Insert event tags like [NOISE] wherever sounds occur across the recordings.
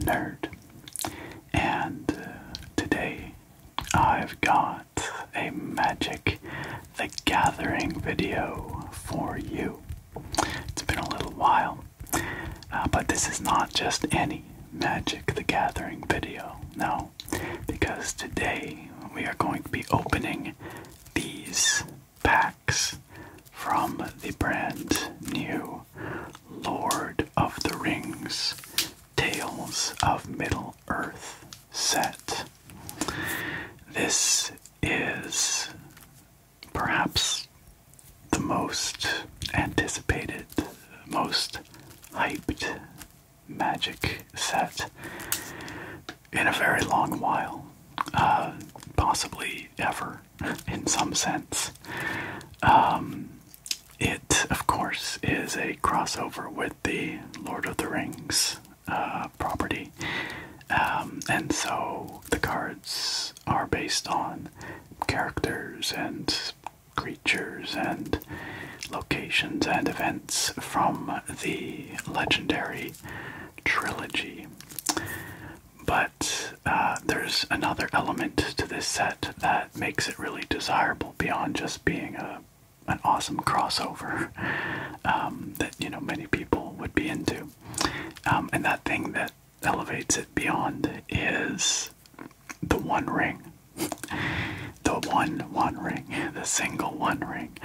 nerd. And uh, today I've got a Magic the Gathering video for you. It's been a little while, uh, but this is not just any Magic the Gathering video, no, because today we are going to be opening these packs from the brand new Lord of the Rings Tales of Middle Earth set. This is perhaps the most anticipated, most hyped magic set in a very long while, uh, possibly ever in some sense. Um, it, of course, is a crossover with the Lord of the Rings uh, property, um, and so the cards are based on characters and creatures and locations and events from the legendary trilogy. But uh, there's another element to this set that makes it really desirable beyond just being a an awesome crossover [LAUGHS] um, that you know many people would be into, um, and that thing that elevates it beyond is the One Ring, the one One Ring, the single One Ring.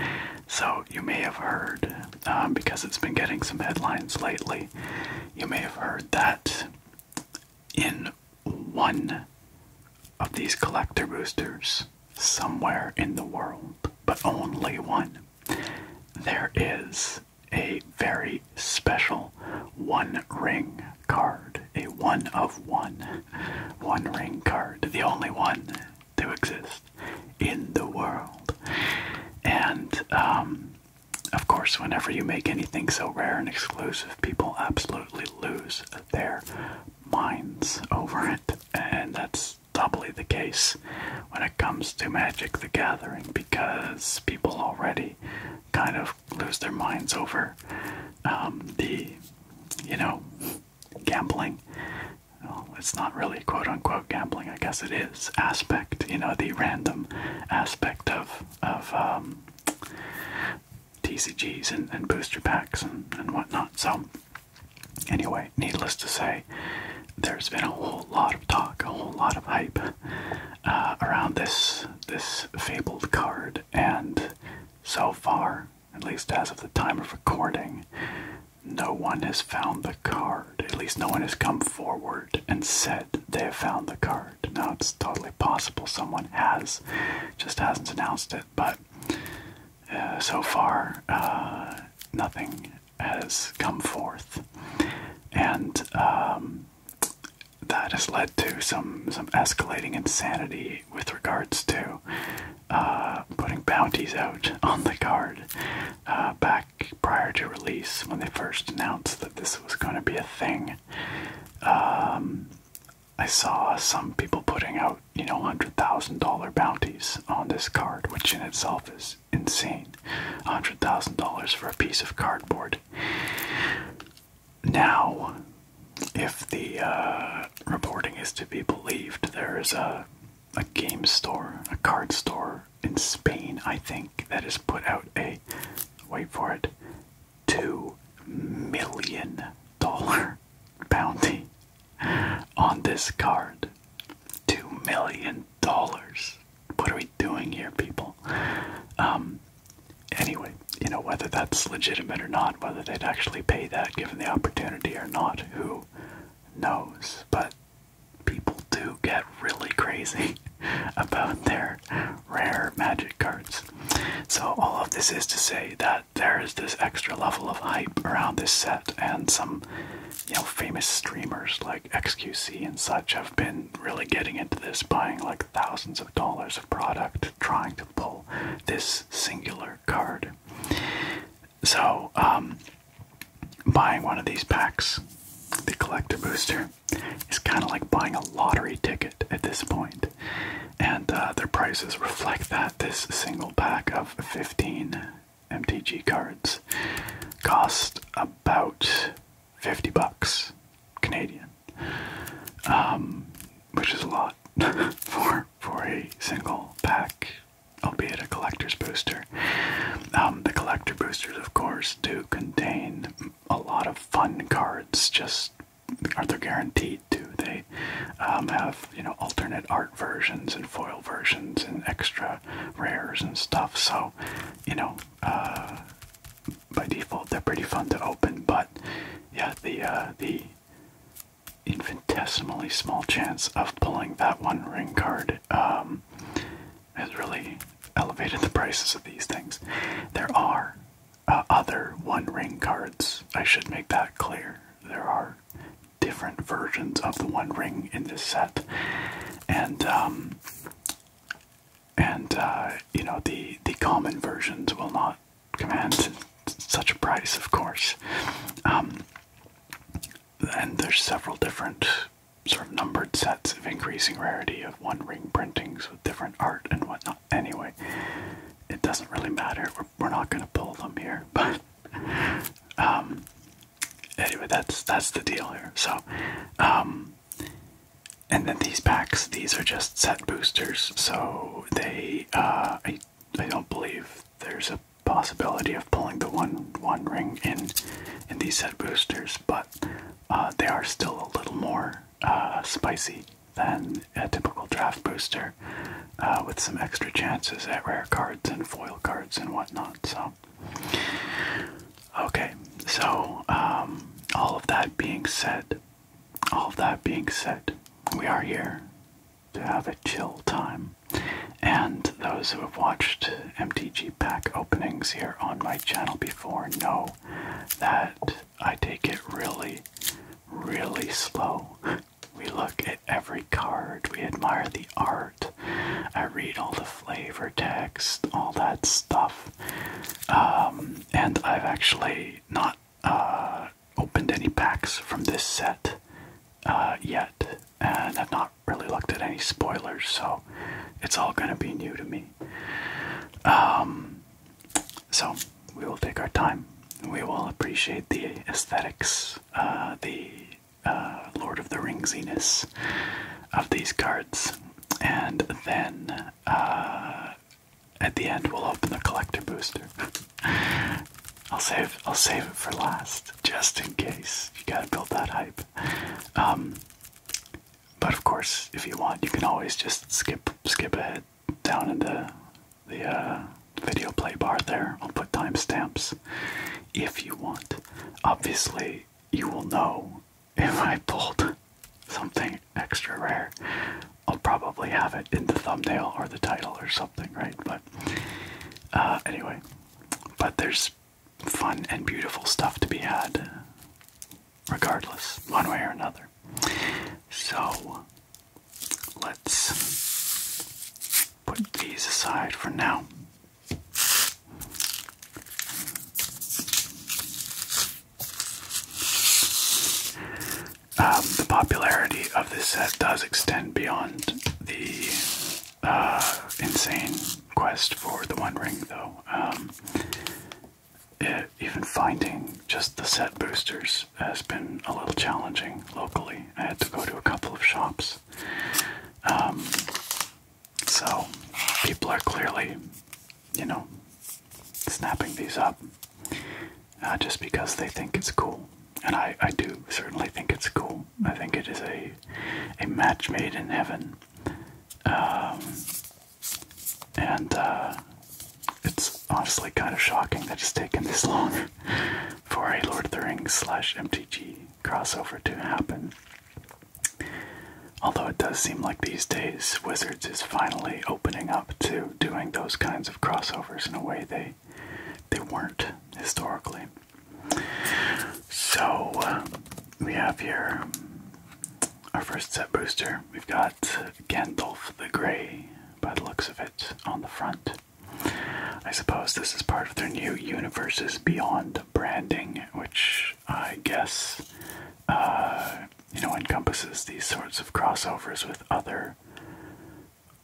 So you may have heard um, because it's been getting some headlines lately. You may have heard that in one of these collector boosters somewhere in the world, but only one, there is a very special one ring card, a one of one, one ring card, the only one to exist in the world. And um, of course, whenever you make anything so rare and exclusive, people absolutely lose their minds over it. And that's doubly the case when it comes to Magic the Gathering because people already kind of lose their minds over um, the, you know, gambling. it's not really quote unquote gambling, I guess it is aspect, you know, the random aspect of of um, TCGs and, and booster packs and, and whatnot. So anyway, needless to say, there's been a whole lot of talk, a whole lot of hype uh, around this this fabled card, and so far, at least as of the time of recording, no one has found the card. At least no one has come forward and said they have found the card. Now it's totally possible someone has, just hasn't announced it, but uh, so far uh, nothing has come forth. And um, that has led to some, some escalating insanity with regards to uh, putting bounties out [LAUGHS] on the card. back prior to release when they first announced that this was going to be a thing. Um, I saw some people putting out, you know, $100,000 bounties on this card, which in itself is insane. $100,000 for a piece of cardboard. Now, if the uh, reporting is to be believed, there is a, a game store, a card store in Spain, I think, that has put out a wait for it two million dollar [LAUGHS] bounty on this card. Two million dollars. What are we doing here, people? Um anyway, you know, whether that's legitimate or not, whether they'd actually pay that given the opportunity or not, who knows? But people do get really crazy [LAUGHS] about their rare magic cards. So, all of this is to say that there is this extra level of hype around this set, and some you know famous streamers like XQC and such have been really getting into this, buying like thousands of dollars of product, trying to pull this singular card. So, um, buying one of these packs, the collector booster, is kind of like buying a lottery ticket at this And uh, their prices reflect that. This single pack of 15 MTG cards cost about 50 bucks Canadian, um, which is a lot [LAUGHS] for, for a single pack, albeit a collector's booster. Um, the collector boosters, of course, do contain a lot of fun cards. Just are they guaranteed to. They um, have you know alternate art versions and foil versions and extra rares and stuff. So you know uh, by default they're pretty fun to open. But yeah, the uh, the infinitesimally small chance of pulling that one ring card um, has really elevated the prices of these things. There are uh, other One Ring cards. I should make that clear. There are different versions of the One Ring in this set, and um, and uh, you know the the common versions will not command such a price, of course. Um, and there's several different sort of numbered sets of increasing rarity of one ring printings with different art and whatnot. Anyway, it doesn't really matter. We're, not going to pull them here, [LAUGHS] but um, anyway, that's that's the deal here. So, um, and then these packs, these are just set boosters, so they uh, I I don't believe there's a possibility of pulling the one one ring in in these set boosters, but uh, they are still a little more uh, spicy than a typical draft booster, uh, with some extra chances at rare cards and foil cards and whatnot. So, okay, so um, all of that being said, all of that being said, we are here to have a chill time. And those who have watched MTG pack openings here on my channel before know that I take it really, really slow. We look at every card, we admire the art, I read all the flavor text, all that stuff. Um, and I've actually not uh, opened any packs from this set uh, yet, and I've not really looked at any spoilers, so it's all going to be new to me. Um, so we will take our time. We will appreciate the aesthetics, uh, the uh, Lord of the Ringsiness of these cards, and then uh, at the end we'll open the collector booster. [LAUGHS] I'll save I'll save it for last, just in case. You gotta build that hype. Um, but of course, if you want, you can always just skip skip ahead down in the the uh, video play bar there. I'll put timestamps if you want. Obviously, you will know if I pulled something extra rare. I'll probably have it in the thumbnail or the title or something, right? But uh, anyway, but there's fun and beautiful stuff to be had, regardless, one way or another. So, let's put these aside for now. Um, the popularity of this set does extend beyond the uh, insane quest for the One Ring, though. Um, even finding just the set boosters has been a little challenging locally. I had to go to a couple of shops. Um, so, people are clearly, you know, snapping these up uh, just because they think it's cool. And I, I do certainly think it's cool. I think it is a, a match made in heaven um, and uh, it's honestly kind of shocking that it's taken this [LAUGHS] long for a Lord of the Rings slash MTG crossover to happen. Although it does seem like these days Wizards is finally opening up to doing those kinds of crossovers in a way they they weren't historically. So uh, we have here our first set booster, we've got Gandalf the Grey by the looks of it on the front. I suppose this is part of their new Universes Beyond branding, which I guess uh, you know encompasses these sorts of crossovers with other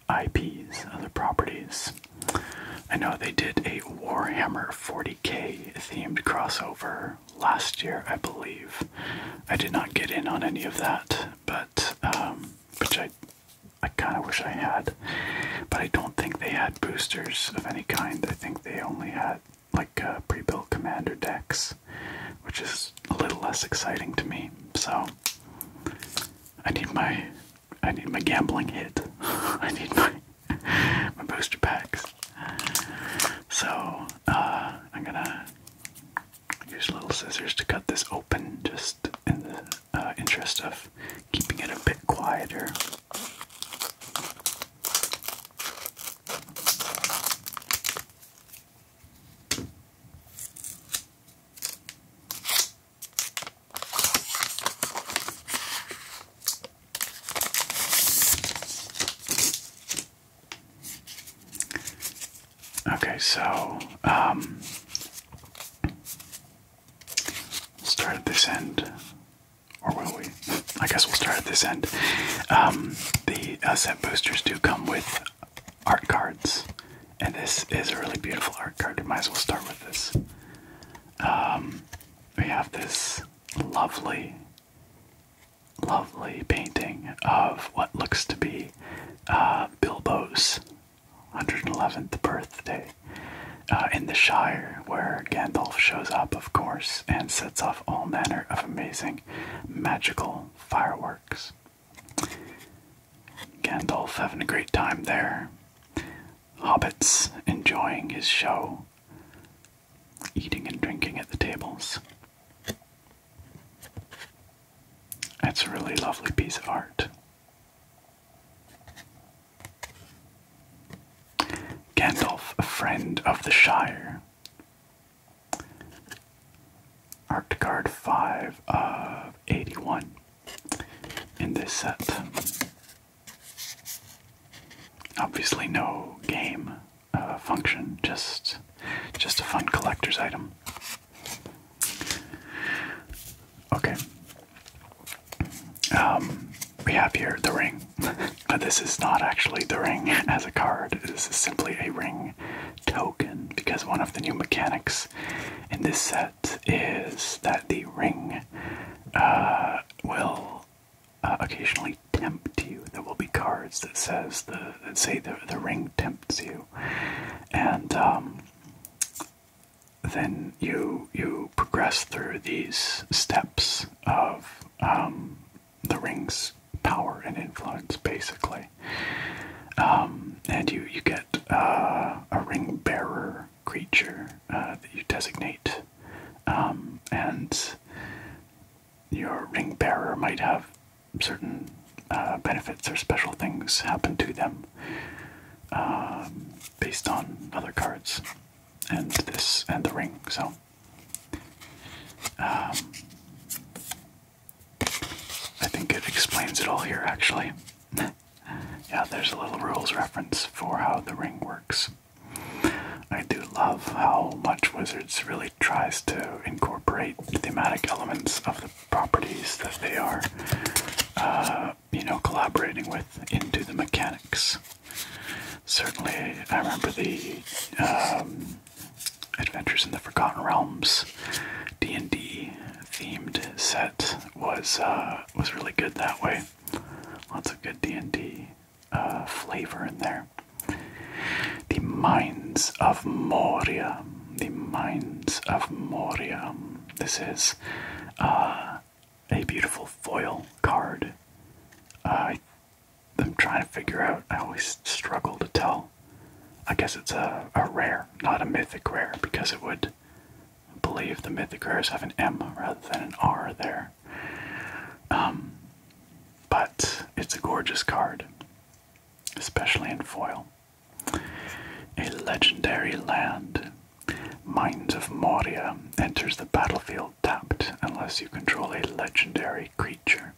IPs, other properties. I know they did a Warhammer 40k themed crossover last year, I believe. I did not get in on any of that, but um, which I I kind of wish I had, but I don't think they had boosters of any kind. I think they only had like uh, pre-built commander decks, which is a little less exciting to me. So I need my I need my gambling hit. [LAUGHS] I need my my booster packs. So uh, I'm gonna use little scissors to cut this open, just in the uh, interest of keeping it a bit quieter. Okay, so um, start at this end, or will we? [LAUGHS] I guess we'll start at this end. Um, the uh, set boosters do come with art cards, and this is a really beautiful art card. We might as well start with this. Um, we have this lovely lovely painting of what looks to be uh, Bilbo's 111th birthday uh, in the Shire, where Gandalf shows up, of course, and sets off all manner of amazing magical fireworks. Gandalf having a great time there. Hobbits enjoying his show eating and drinking at the tables. It's a really lovely piece of art. Gandalf, a friend of the Shire. Art card 5 of 81 in this set. Obviously, no game uh, function, just just a fun collector's item. Okay. Um, we have here the ring, [LAUGHS] but this is not actually the ring [LAUGHS] as a card. This is simply a ring token because one of the new mechanics in this set is that the ring uh, will uh, occasionally tempt you. There will be cards that says the that say the the ring tempts you, and um, then you you progress through these steps of um, the ring's power and influence, basically. Um, and you you get uh, a ring bearer creature uh, that you designate, and your ring bearer might have certain uh, benefits or special things happen to them um, based on other cards and this and the ring. So, um, I think it explains it all here actually. [LAUGHS] yeah, there's a little rules reference for how the ring works. I do love how much Wizards really tries to incorporate thematic elements of the properties that they are, uh, you know, collaborating with into the mechanics. Certainly, I remember the um, Adventures in the Forgotten Realms D&D themed set was uh, was really good that way. Lots of good D&D a uh, flavor in there. The minds of Moria. The minds of Moria. This is uh, a beautiful foil card. I'm trying to figure out, I always struggle to tell. I guess it's a, a rare, not a mythic rare, because it would believe the mythic rares have an M rather than an R there. Um, but it's a gorgeous card, especially in foil. A legendary land, Mines of Moria, enters the battlefield tapped unless you control a legendary creature,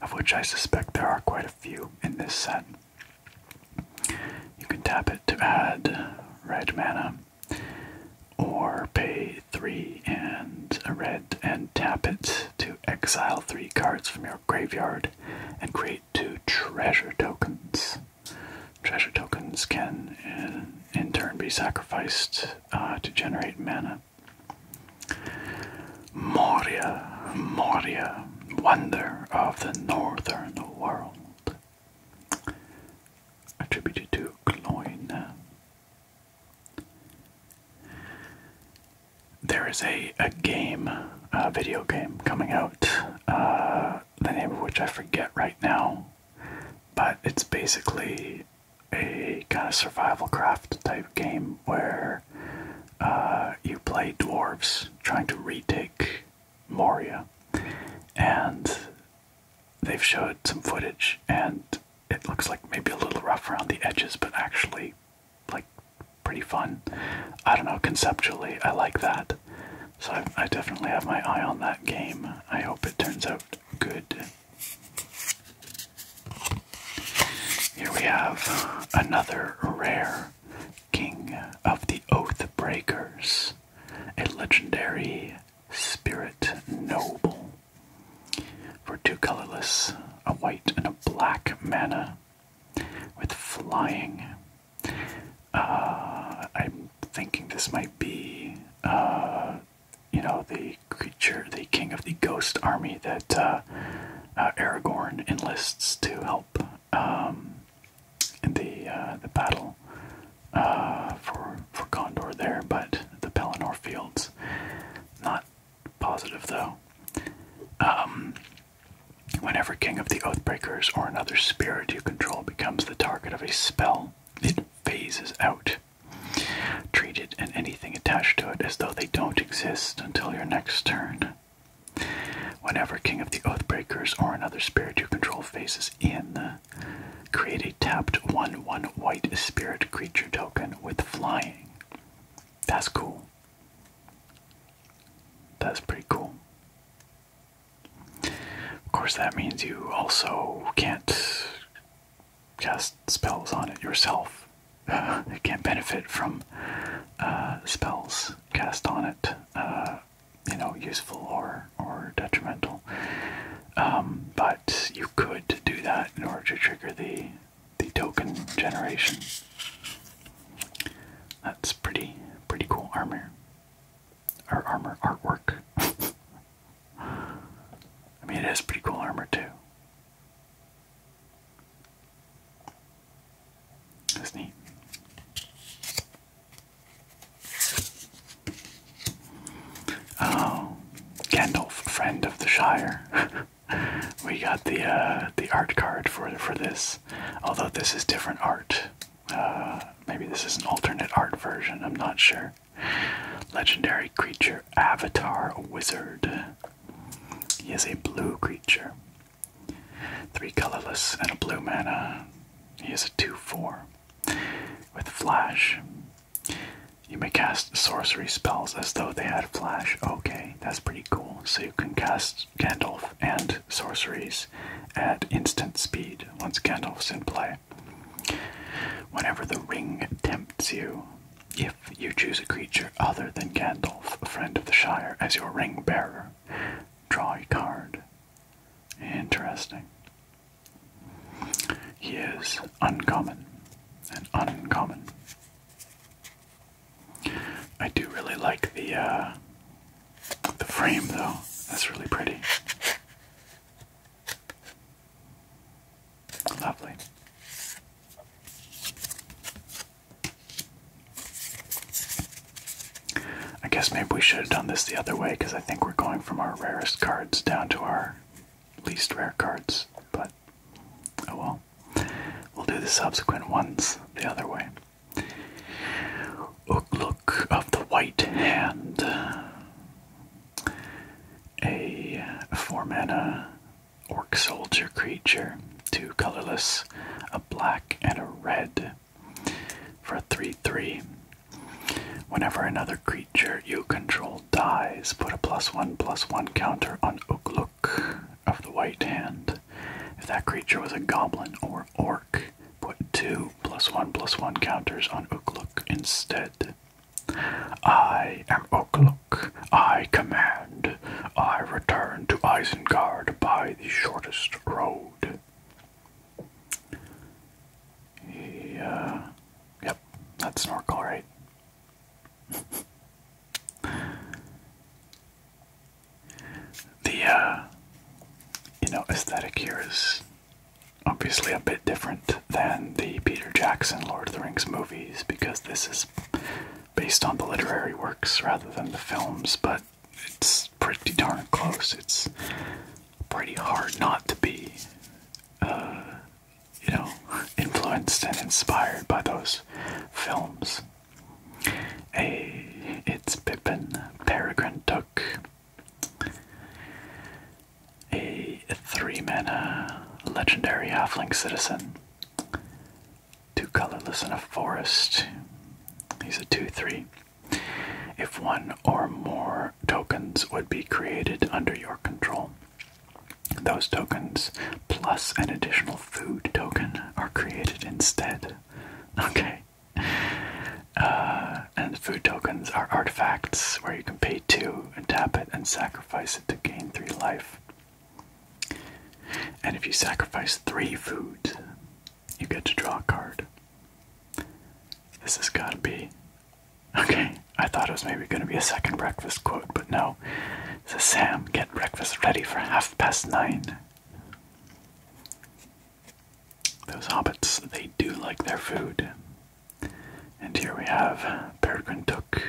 of which I suspect there are quite a few in this set. You can tap it to add red mana, or pay three and a red and tap it to exile three cards from your graveyard and create two treasure tokens. Treasure tokens can uh, in, turn be sacrificed uh, to generate mana. Moria, Moria, wonder of the northern world. Attributed to Cloyne. There is a, a game, a video game coming out, uh, the name of which I forget right now, but it's basically a kind of survival craft type game where uh, you play dwarves trying to retake Moria. And they've showed some footage, and it looks like maybe a little rough around the edges, but actually, like, pretty fun. I don't know, conceptually, I like that. So I, definitely have my eye on that game. I hope it turns out good. Here we have another rare King of the Oath Breakers, a legendary Spirit Noble. For two colorless, a white and a black mana with flying. Uh, I'm thinking this might be, uh, you know, the creature, the king of the ghost army that uh, uh Aragorn enlists to help um, in the uh, the battle uh, for for Condor there, but the Pelennor fields. Not positive though. Um, whenever King of the Oathbreakers or another spirit you control becomes the target of a spell, it phases out. Treat it and anything attached to it as though they don't exist until your next turn. Whenever King of the Oathbreakers or another spirit you control phases in, create a tapped 1 1 white spirit creature token with flying. That's cool. That's pretty cool. Of course, that means you also can't cast spells on it yourself. Uh, [LAUGHS] it can't benefit from uh, spells cast on it, uh, you know, useful or or detrimental. Um, but you could do that in order to trigger the the token generation. That's pretty pretty cool armor. Or armor artwork. [LAUGHS] I mean it has pretty cool armor too. That's neat. Oh, Gandalf, friend of the Shire. [LAUGHS] we got the uh, the art card for for this, although this is different art. Uh, maybe this is an alternate art version. I'm not sure. Legendary creature Avatar Wizard. He is a blue creature. Three colorless and a blue mana. He is a 2 4 with flash. You may cast sorcery spells as though they had flash. Okay, that's pretty cool. So you can cast Gandalf and sorceries at instant speed once Gandalf's in play. Whenever the ring tempts you, if you choose a creature other than Gandalf, a friend of the Shire, as your ring bearer, draw a card. Interesting. He uncommon. and uncommon. I do really like the uh, the frame though. That's really pretty. Lovely. I guess maybe we should have done this the other way because I think we're going from our rarest cards down to our least rare cards, but Oh well. We'll do the subsequent ones the other way. Oh, look of the White Hand. A four mana orc soldier creature. Two colorless, a black and a red. For a 3 3. Whenever another creature you control dies, put a plus one plus one counter on Ugluk of the White Hand. If that creature was a goblin or orc, put two plus one plus one counters on Ugluk instead. I am Ugluk. I command. I return to Isengard by the shortest road. He, uh, yep, that's Snorkel, right? [LAUGHS] the uh, you know aesthetic here is obviously a bit different than the Peter Jackson Lord of the Rings movies because this is based on the literary works rather than the films, but it's pretty darn close. It's pretty hard not to be uh, you know, [LAUGHS] influenced and inspired by those films. A, it's Pippin Peregrine Took. A three man legendary halfling citizen. Two colorless in a forest. He's a 2 3. If one or more tokens would be created under your control, those tokens plus an additional food token are created instead. Okay. Uh, and food tokens are artifacts where you can pay two and tap it and sacrifice it to gain three life. And if you sacrifice three food, you get to draw a card. This has got to be. Okay. I thought it was maybe going to be a second breakfast quote, but no. So Sam, get breakfast ready for half past nine. Those hobbits, they do like their food. And here we have Peregrine Took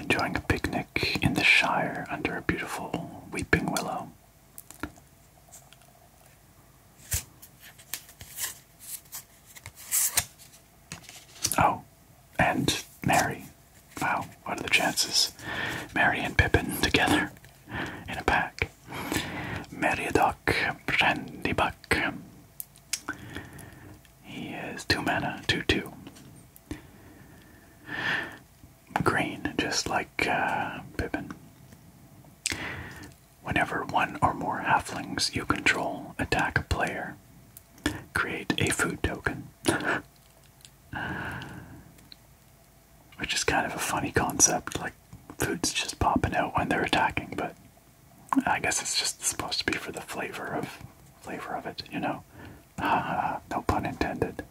enjoying a picnic in the Shire under a beautiful weeping willow. Oh, and Mary. Wow, what are the chances? Mary and Pippin together in a pack. Meriadoc buck. He is two mana, two two. Green, just like uh, Pippin. Whenever one or more halflings you control attack a player, create a food token. [SIGHS] Which is kind of a funny concept, like food's just popping out when they're attacking, but I guess it's just supposed to be for the flavor of flavor of it, you know. no pun intended.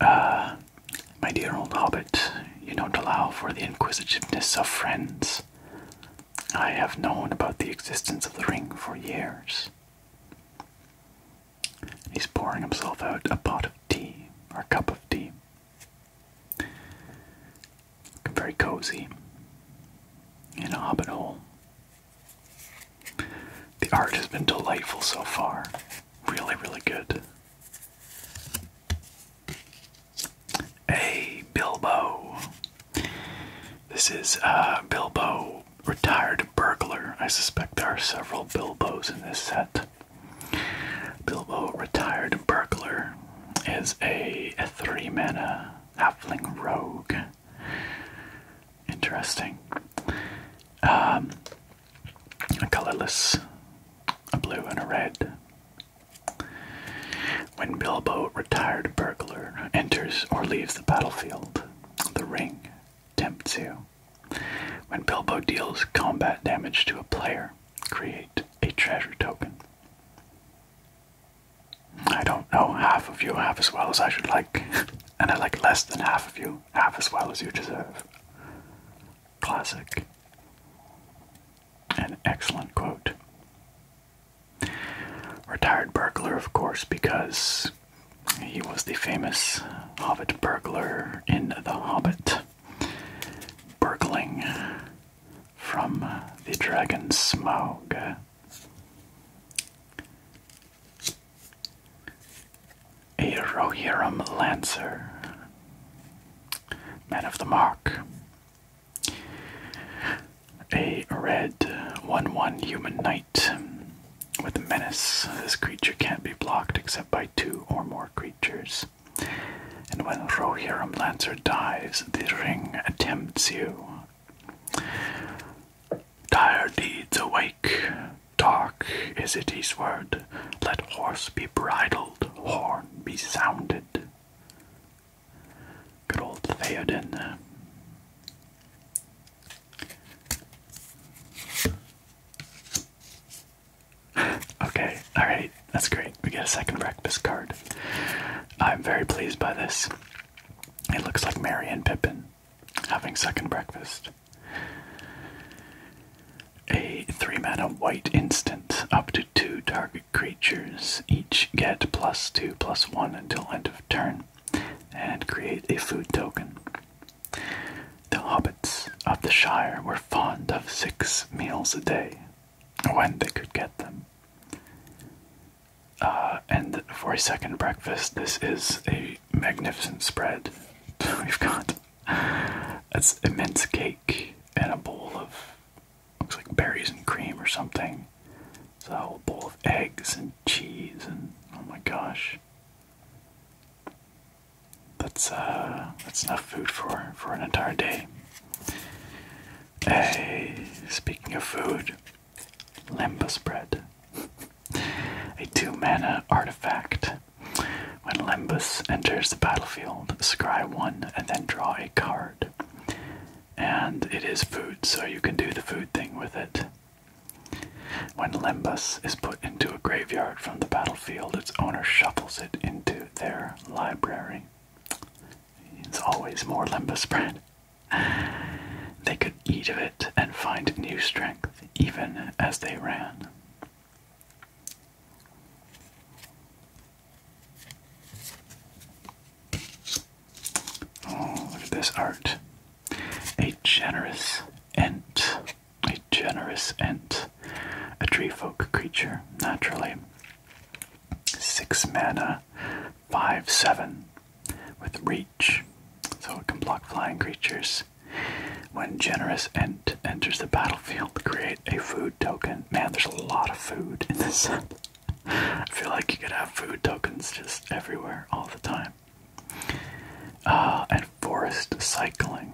Uh, my dear old hobbit, you don't allow for the inquisitiveness of friends. I have known about the existence of the ring for years. He's pouring himself out a pot of tea, or a cup of tea. very cozy in a hobbit hole. The art has been delightful so far. Really, really good. Hey, Bilbo! This is uh, Bilbo, retired burglar. I suspect there are several Bilbos in this set. Bilbo, retired burglar, is a, three mana halfling rogue. Interesting. Um, a colorless, a blue, and a red. When Bilbo, retired burglar, enters or leaves the battlefield, the ring tempts you. When Bilbo deals combat damage to a player, create a treasure token. I don't know half of you half as well as I should like, [LAUGHS] and I like less than half of you half as well as you deserve. Classic. An excellent quote. Retired burglar, of course, because he was the famous Hobbit burglar in The Hobbit, burgling from the dragon Smaug. A Rohirrim Lancer, man of the mark a red 1 1 human knight with menace. This creature can't be blocked except by two or more creatures. And when Rohirrim Lancer dies, the ring attempts you. Dire deeds awake. Dark is it eastward. Let horse be bridled, horn be sounded. Good old Theoden [LAUGHS] okay, alright, that's great. We get a second breakfast card. I'm very pleased by this. It looks like Mary and Pippin having second breakfast. A three mana white instant. Up to two target creatures each get plus two plus one until end of turn and create a food token. The hobbits of the Shire were fond of six meals a day when they could get them. Uh, and for a second breakfast, this is a magnificent spread. [LAUGHS] We've got that's immense cake and a bowl of looks like berries and cream or something. It's a whole bowl of eggs and cheese and oh my gosh. That's uh, that's enough food for for an entire day. Hey, speaking of food, Lembas bread. [LAUGHS] a two mana artifact. When Lembas enters the battlefield, scry one and then draw a card. And it is food, so you can do the food thing with it. When Limbus is put into a graveyard from the battlefield, its owner shuffles it into their library. It's always more Limbus bread. They could eat of it and find new strength even as they ran. Oh, look at this art. A generous ant. A generous ant. A treefolk creature, naturally. Six mana, five, seven, with reach, so it can block flying creatures. When generous ant enters the battlefield, create a food token. Man, there's a lot of food in this set. [LAUGHS] I feel like you could have food tokens just everywhere all the time. Uh, and forest cycling.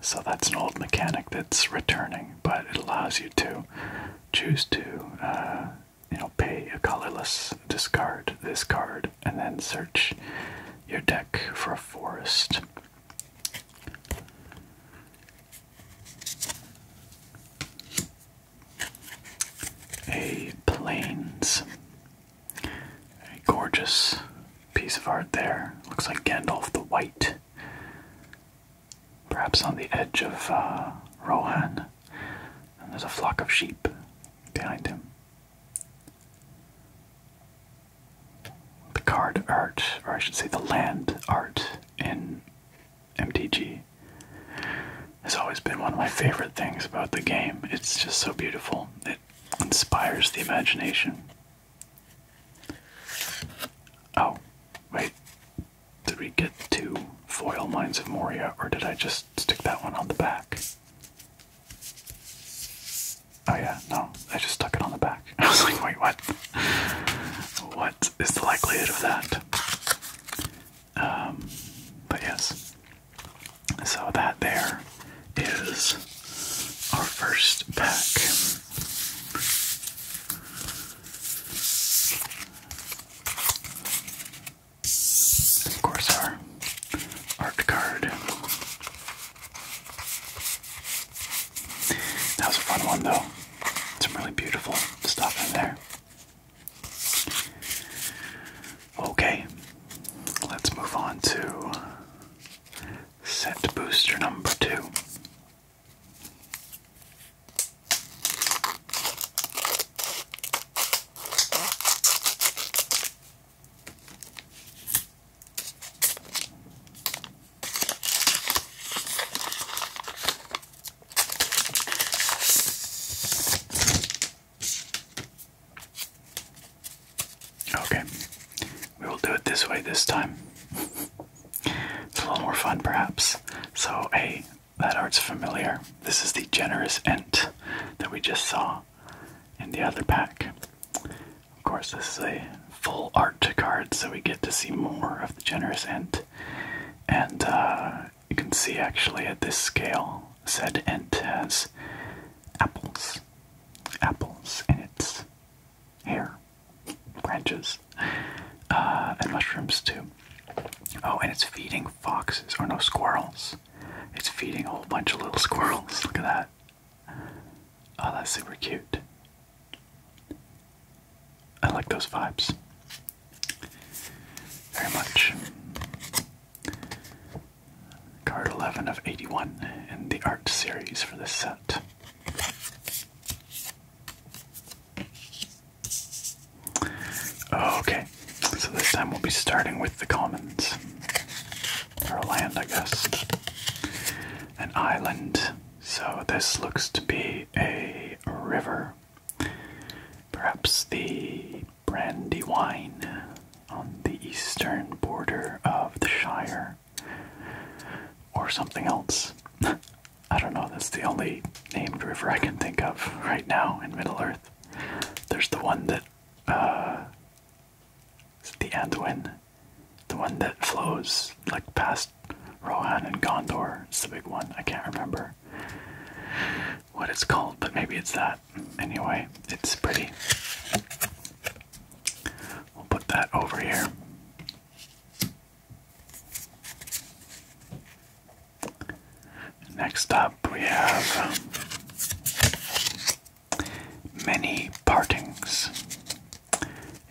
So that's an old mechanic that's returning, but it allows you to choose to, uh, you know, pay a colorless discard this card, and then search your deck for a forest a plains. A gorgeous piece of art there. Looks like Gandalf the White. Perhaps on the edge of uh, Rohan. And there's a flock of sheep behind him. The card art, or I should say the land art in MTG has always been one of my favorite things about the game. It's just so beautiful. It inspires the imagination. Oh, wait. Did we get two foil Mines of Moria, or did I just stick that one on the back? Oh yeah, no, I just stuck it on the back. [LAUGHS] I was like, wait, what? What is the likelihood of that? Um, but yes, so that there is our first pack. Of course, our art card. That was a fun one, though. Some really beautiful stuff in there. Okay, let's move on to set booster number two. Okay, we will do it this way this time. it's a little more fun, perhaps. So, hey, that art's familiar. This is the generous Ent that we just saw in the other pack. Of course, this is a full art card, so we get to see more of the generous Ent. And uh, you can see actually at this scale said ent has apples, apples in its hair, branches, uh, and mushrooms too. Oh, and it's feeding foxes, or no, squirrels. It's feeding a whole bunch of little squirrels. Look at that. Oh, that's super cute. I like those vibes very much. Card 11 of 81 in the art series for this set. Okay, so this time we'll be starting with the commons. Or land, I guess. An island. So this looks to be a river. Perhaps the Brandywine on the eastern border of the Shire. Or something else. [LAUGHS] I don't know, that's the only named river I can think of right now in Middle Earth. There's the one that, uh, is the Anduin? The one that flows like past Rohan and Gondor. It's the big one, I can't remember what it's called, but maybe it's that. Anyway, it's pretty. We'll put that over here. Next up, we have Many Partings,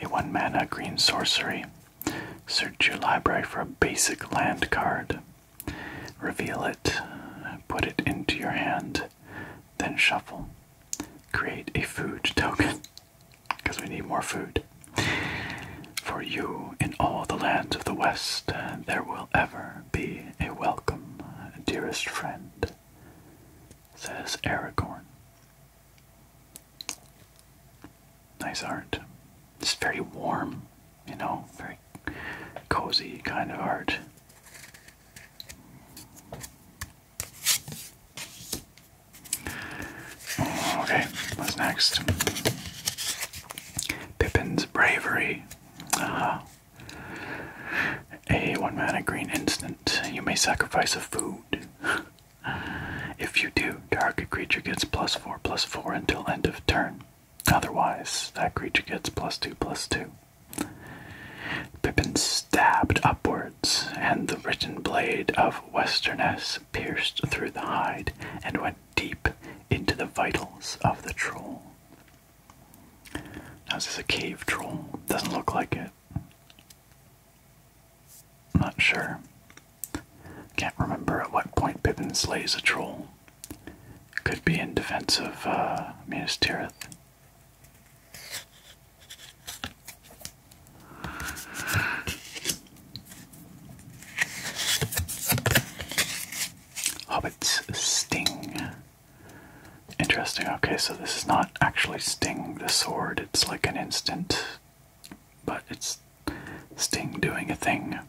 a one mana green sorcery. Search your library for a basic land card. Reveal it, put it into your hand, then shuffle. Create a food token, because [LAUGHS] we need more food. For you in all the lands of the West, there will ever be a welcome, dearest friend, says Aragorn. Nice art. It's very warm you know, very cozy kind of art. Okay, what's next? Pippin's Bravery. Uh-huh. a one mana green instant. You may sacrifice a food. if you do, target creature gets plus four plus four until end of turn. Otherwise, that creature gets plus two plus two. Pippin stabbed upwards, and the written blade of Westerness pierced through the hide and went deep into the vitals of the troll. Now, is a cave troll? Doesn't look like it. not sure. Can't remember at what point Pippin slays a troll. Could be in defense of uh, Minas Tirith. Hobbit's Sting. Interesting. Okay, so this is not actually Sting the sword, it's like an instant, but it's Sting doing a thing.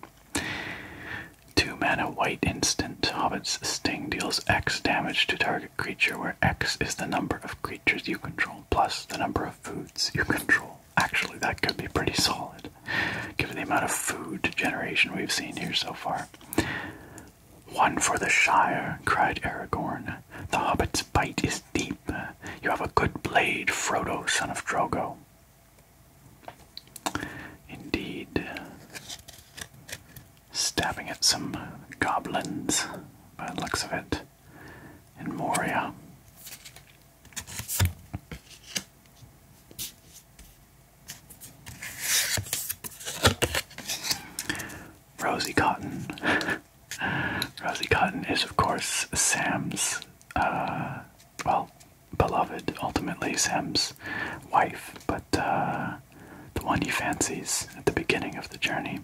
Two mana white instant Hobbit's Sting deals X damage to target creature, where X is the number of creatures you control plus the number of foods you control. Actually, that could be pretty solid given the amount of food generation we've seen here so far. One for the Shire, cried Aragorn. The Hobbit's bite is deep. You have a good blade, Frodo, son of Drogo. Indeed, stabbing at some goblins by the looks of it in Moria. Rosie Cotton. [LAUGHS] Rosie Cotton is, of course, Sam's, uh, well, beloved, ultimately Sem's wife, but uh, the one he fancies at the beginning of the journey.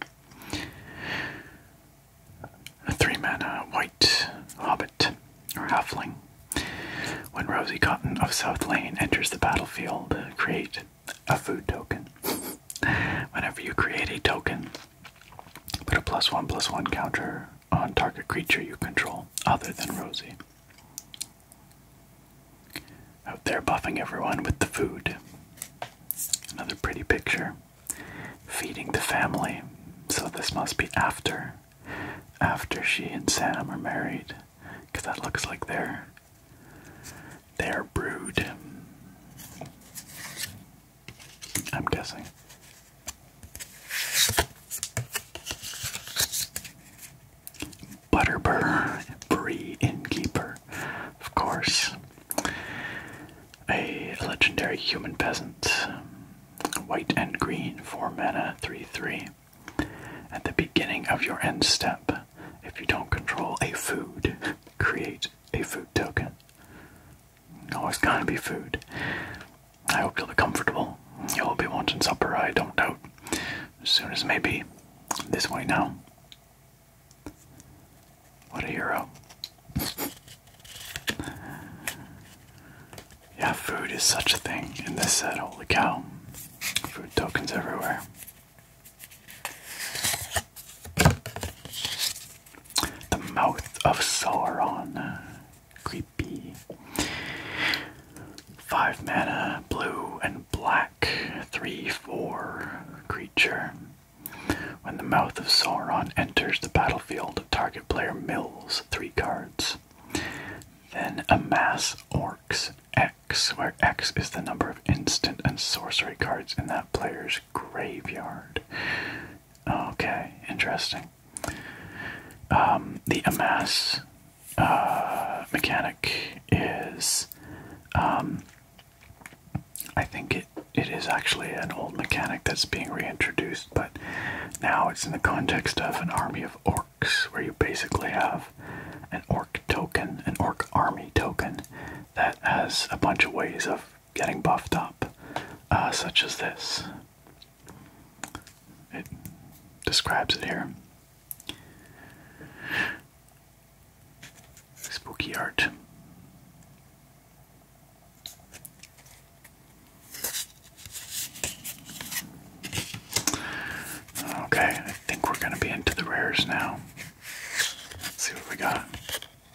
A three mana white hobbit or halfling. When Rosie Cotton of South Lane enters the battlefield, create a food token. [LAUGHS] Whenever you create a token, put a plus one plus one counter on target creature you control other than Rosie. Out there buffing everyone with the food. Another pretty picture. Feeding the family. So this must be after. After she and Sam are married. Because that looks like they're. they're brood. I'm guessing. Butterbur, Innkeeper, of course. A legendary human peasant, white and green, for mana, 3 3. At the beginning of your end step, if you don't control a food, create a food token. Always gotta be food. I hope you'll be comfortable. You'll be wanting supper, I don't doubt as soon as maybe this way now. What a hero. yeah, food is such a thing in this set. Holy cow. Food tokens everywhere. The mouth of Sauron. B. Five mana, blue and black, three, four creature. When the mouth of Sauron enters the battlefield, target player mills three cards. Then amass orcs X, where X is the number of instant and sorcery cards in that player's graveyard. Okay, interesting. Um, the amass uh, mechanic is. Um, I think it, it is actually an old mechanic that's being reintroduced, but now it's in the context of an army of orcs, where you basically have an orc token, an orc army token, that has a bunch of ways of getting buffed up, uh, such as this. It describes it here. Spooky art. Okay, I think we're going to be into the rares now. see what we got.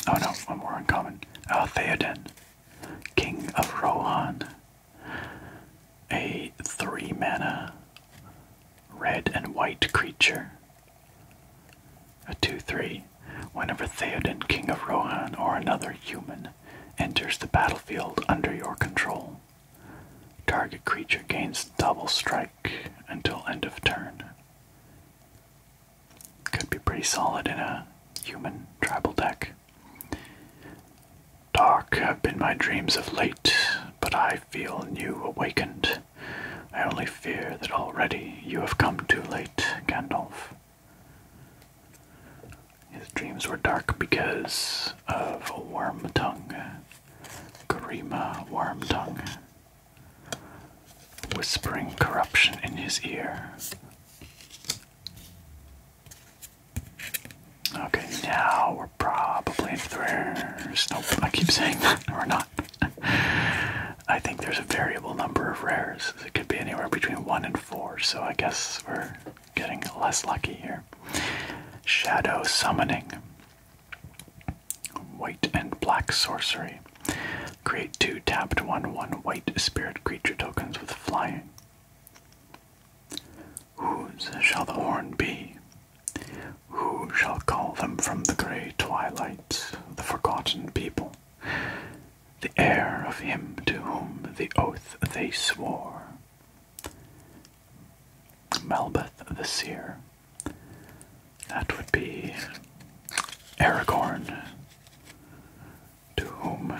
Oh no, one more uncommon. Altheoden, King of Rohan a three mana red and white creature. A 2 3. Whenever Theoden, King of Rohan, or another human enters the battlefield under your control, target creature gains double strike until end of turn. Could be pretty solid in a human tribal deck. Dark have been my dreams of late, but I feel new awakened. I only fear that already you have come too late, Gandalf. His dreams were dark because of a worm tongue. Karima worm tongue. Whispering corruption in his ear. Okay, now we're probably in rares. Nope, I keep saying that. [LAUGHS] We're not. I think there's a variable number of rares. It could be anywhere between 1 and 4, so I guess we're getting less lucky here. Shadow Summoning. White and black sorcery. Create two tapped 1 1 white spirit creature tokens with flying. Whose shall the horn be? Who shall call them from the grey twilight of the forgotten people? The heir of him to whom the oath they swore. Melbeth the Seer. That would be Aragorn, to whom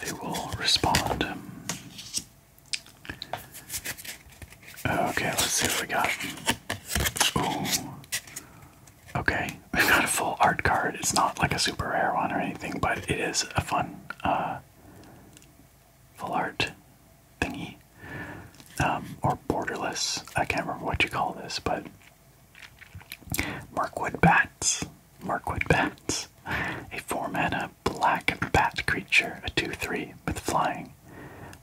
they will respond. Okay, let's see what we got. Okay, we've got a full art card. It's not like a super rare one or anything, but it is a fun uh, full art thingy. Um, or borderless. I can't remember what you call this, but. Markwood bats. Mirkwood Bats, a 4 mana black bat creature, a 2 3 with flying.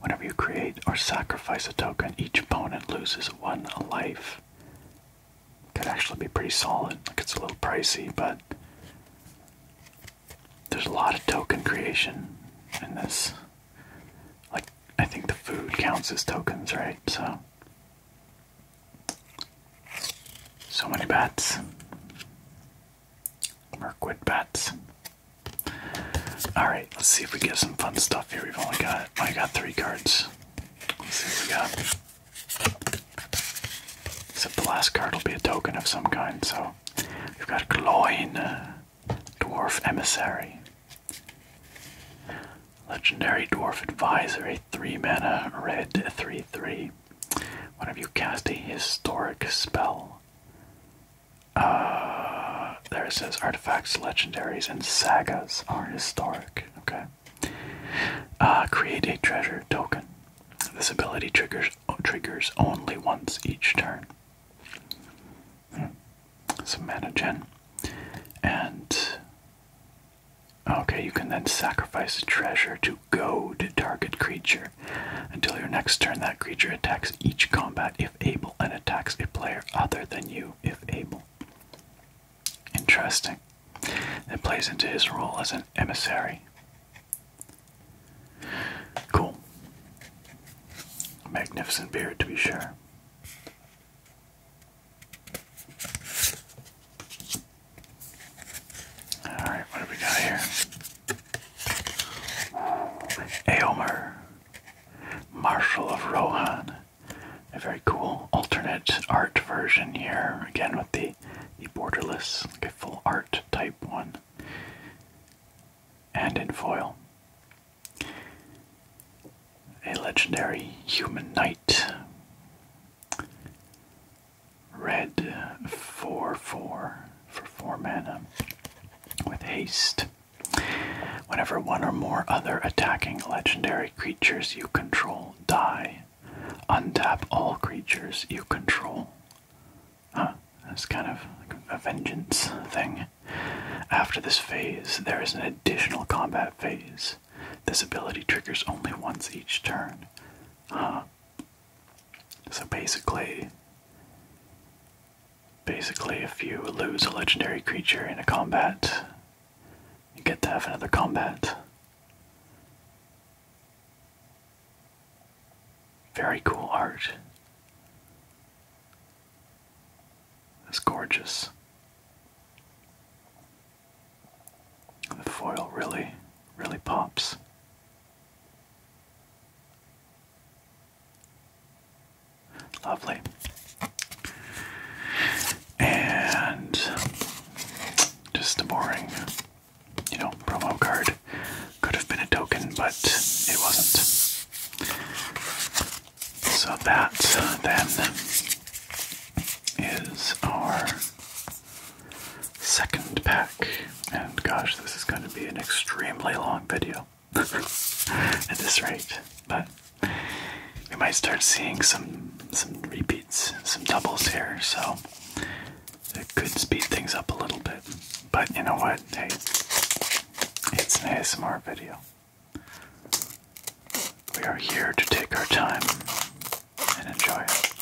Whenever you create or sacrifice a token, each opponent loses one life. Could actually be pretty solid. Like it's a little pricey, but there's a lot of token creation in this. Like, I think the food counts as tokens, right? So so many bats. Merquid bats. Alright, let's see if we get some fun stuff here. We've only got I got three cards. Let's see what we got. Except the last card will be a token of some kind, so we've got Gloin, uh, Dwarf Emissary. Legendary Dwarf Advisor, 3 mana red 3 3. Whenever you cast a historic spell, uh, there it says artifacts, legendaries, and sagas are historic. Okay. Uh, create a treasure token. This ability triggers triggers only once each turn. Hmm. Some mana gen, and Okay, you can then sacrifice a treasure to go to target creature. Until your next turn, that creature attacks each combat if able and attacks a player other than you if able. Interesting. It plays into his role as an emissary. Cool. Magnificent beard, to be sure. Alright, what do we got here? Aylmer, Marshal of Rohan. A very cool alternate art version here, again with the, the borderless, like a full art type one. And in foil. A legendary human knight Red 4 4 for 4 mana with haste. Whenever one or more other attacking legendary creatures you control die, untap all creatures you control. Huh, that's kind of a vengeance thing. After this phase, there is an additional combat phase. This ability triggers only once each turn. Huh, so basically, basically, if you lose a legendary creature in a combat, you get to have another combat. Very cool art. It's gorgeous. The foil really, really pops. Lovely. And just a boring, you know, promo card. Could have been a token, but it wasn't. So that then is our second pack. And gosh, this is going to be an extremely long video [LAUGHS] at this rate. But we might start seeing some some repeats, some doubles here, so it could speed things up a little bit. But you know what? Hey, it's an ASMR video. We are here to take our time and enjoy it.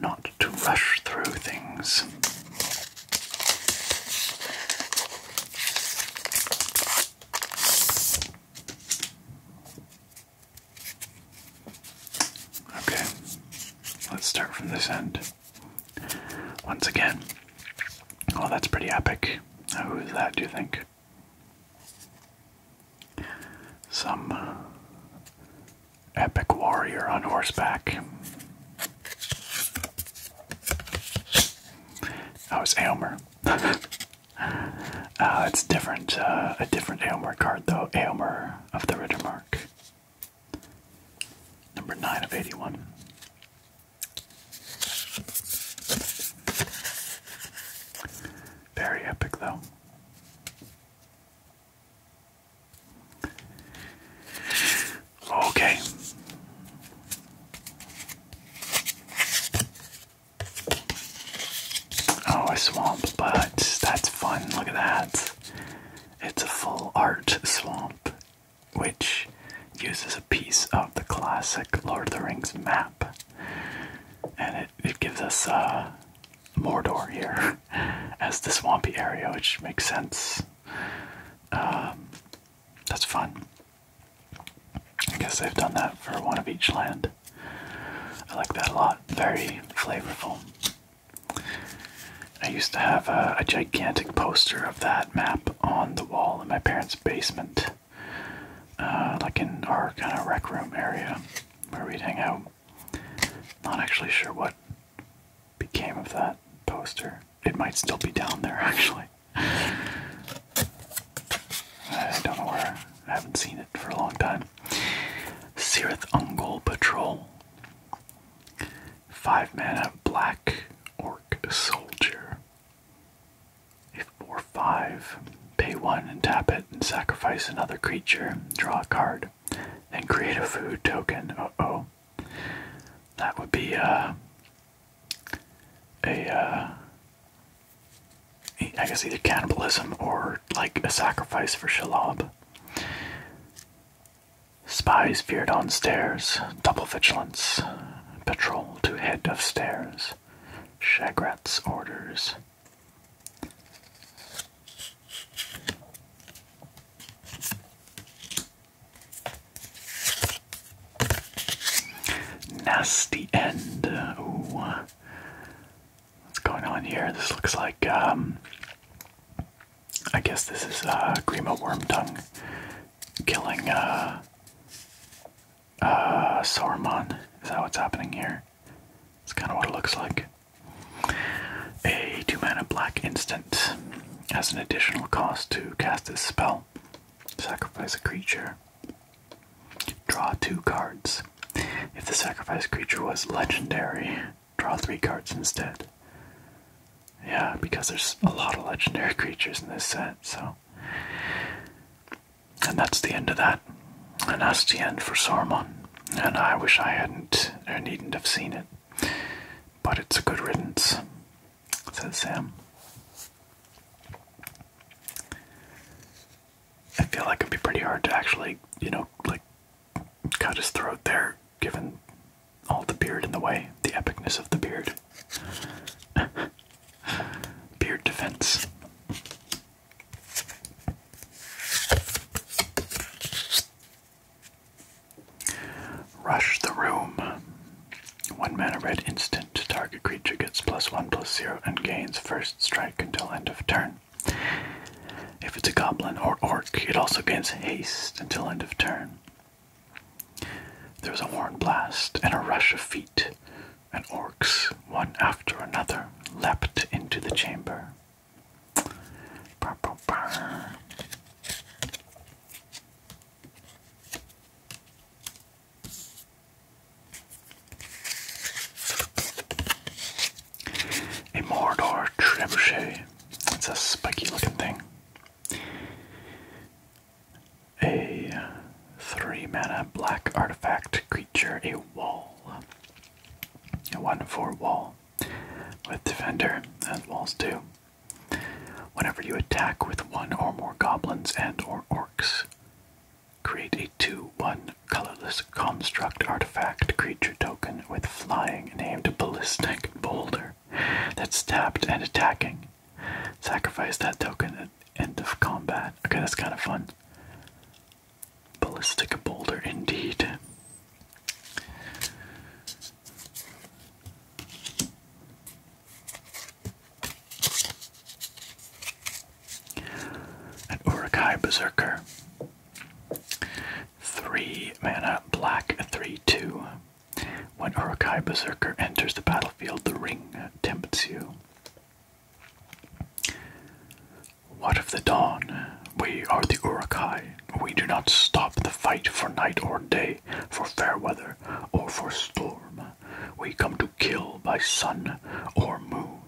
Not to rush through things. Okay, let's start from this end. Once again. Oh, that's pretty epic. Who is that, do you think? Some uh, epic warrior on horseback. That was Aylmer. [LAUGHS] uh, it's different, uh, a different Aylmer card though. Aylmer of the Rittermark. Number 9 of 81. Very epic though. Okay. Oh, a swamp, but that's fun. Look at that. It's a full art swamp, which uses a piece of the classic Lord of the Rings map. And it, gives us uh, Mordor here [LAUGHS] as the swampy area, which makes sense. Um, that's fun. I guess they've done that for one of each land. I like that a lot. Very flavorful. I used to have a, gigantic poster of that map on the wall in my parents' basement, uh, like in our kind of rec room area where we'd hang out um, not actually sure what became of that poster. It might still be down there, [LAUGHS] actually. I don't know where. I haven't seen it for a long time. Sirith Ungol Patrol. Five men of black orc soldier. If 4 five Pay one and tap it and sacrifice another creature, draw a card, and create a food token. Uh oh. That would be uh, uh guess either cannibalism or like a sacrifice for Shalab. Spies feared on stairs, double vigilance, patrol to head of stairs, Shagrat's orders. Nasty end. What's going on here? This looks like, um, I guess this is a uh, worm tongue killing a... a Sauron. Is that what's happening here? It's kind of what it looks like. A 2 mana black instant has an additional cost to cast this spell. Sacrifice a creature. Draw two cards. If the sacrificed creature was legendary, draw three cards instead. Yeah, because there's a lot of legendary [LAUGHS] creatures in this set, so. And that's the end of that. And that's the end for Saruman and I wish I hadn't or needn't have seen it. But it's a good riddance, says Sam. I feel like it'd be pretty hard to actually, you know, like cut his throat there, given all the beard in the way, the epicness of the beard. [LAUGHS] beard defense. Rush the Room. One mana red instant. Target creature gets plus one plus zero and gains first strike until end of turn. If it's a goblin or orc, it also gains haste until end of turn. There was a horn blast and a rush of feet, and orcs, one after another, leapt into the chamber. A Mordor trebuchet. It's a spiky looking thing. A three mana black artifact creature, a wall. A 1 4 wall with defender, as walls do. Whenever you attack with one or more goblins and or orcs, create a 2 1 colorless construct artifact creature token with flying named Ballistic Boulder that's tapped and attacking. Sacrifice that token at end of combat. Okay, that's kind of fun. Ballistic boulder indeed. An Urukai Berserker. Three mana black three two. When Urukai Berserker enters the battlefield, the ring tempts you. What of the dawn? We are the Urukai. We do not stop the fight for night or day, for fair weather or for storm. We come to kill by sun or moon.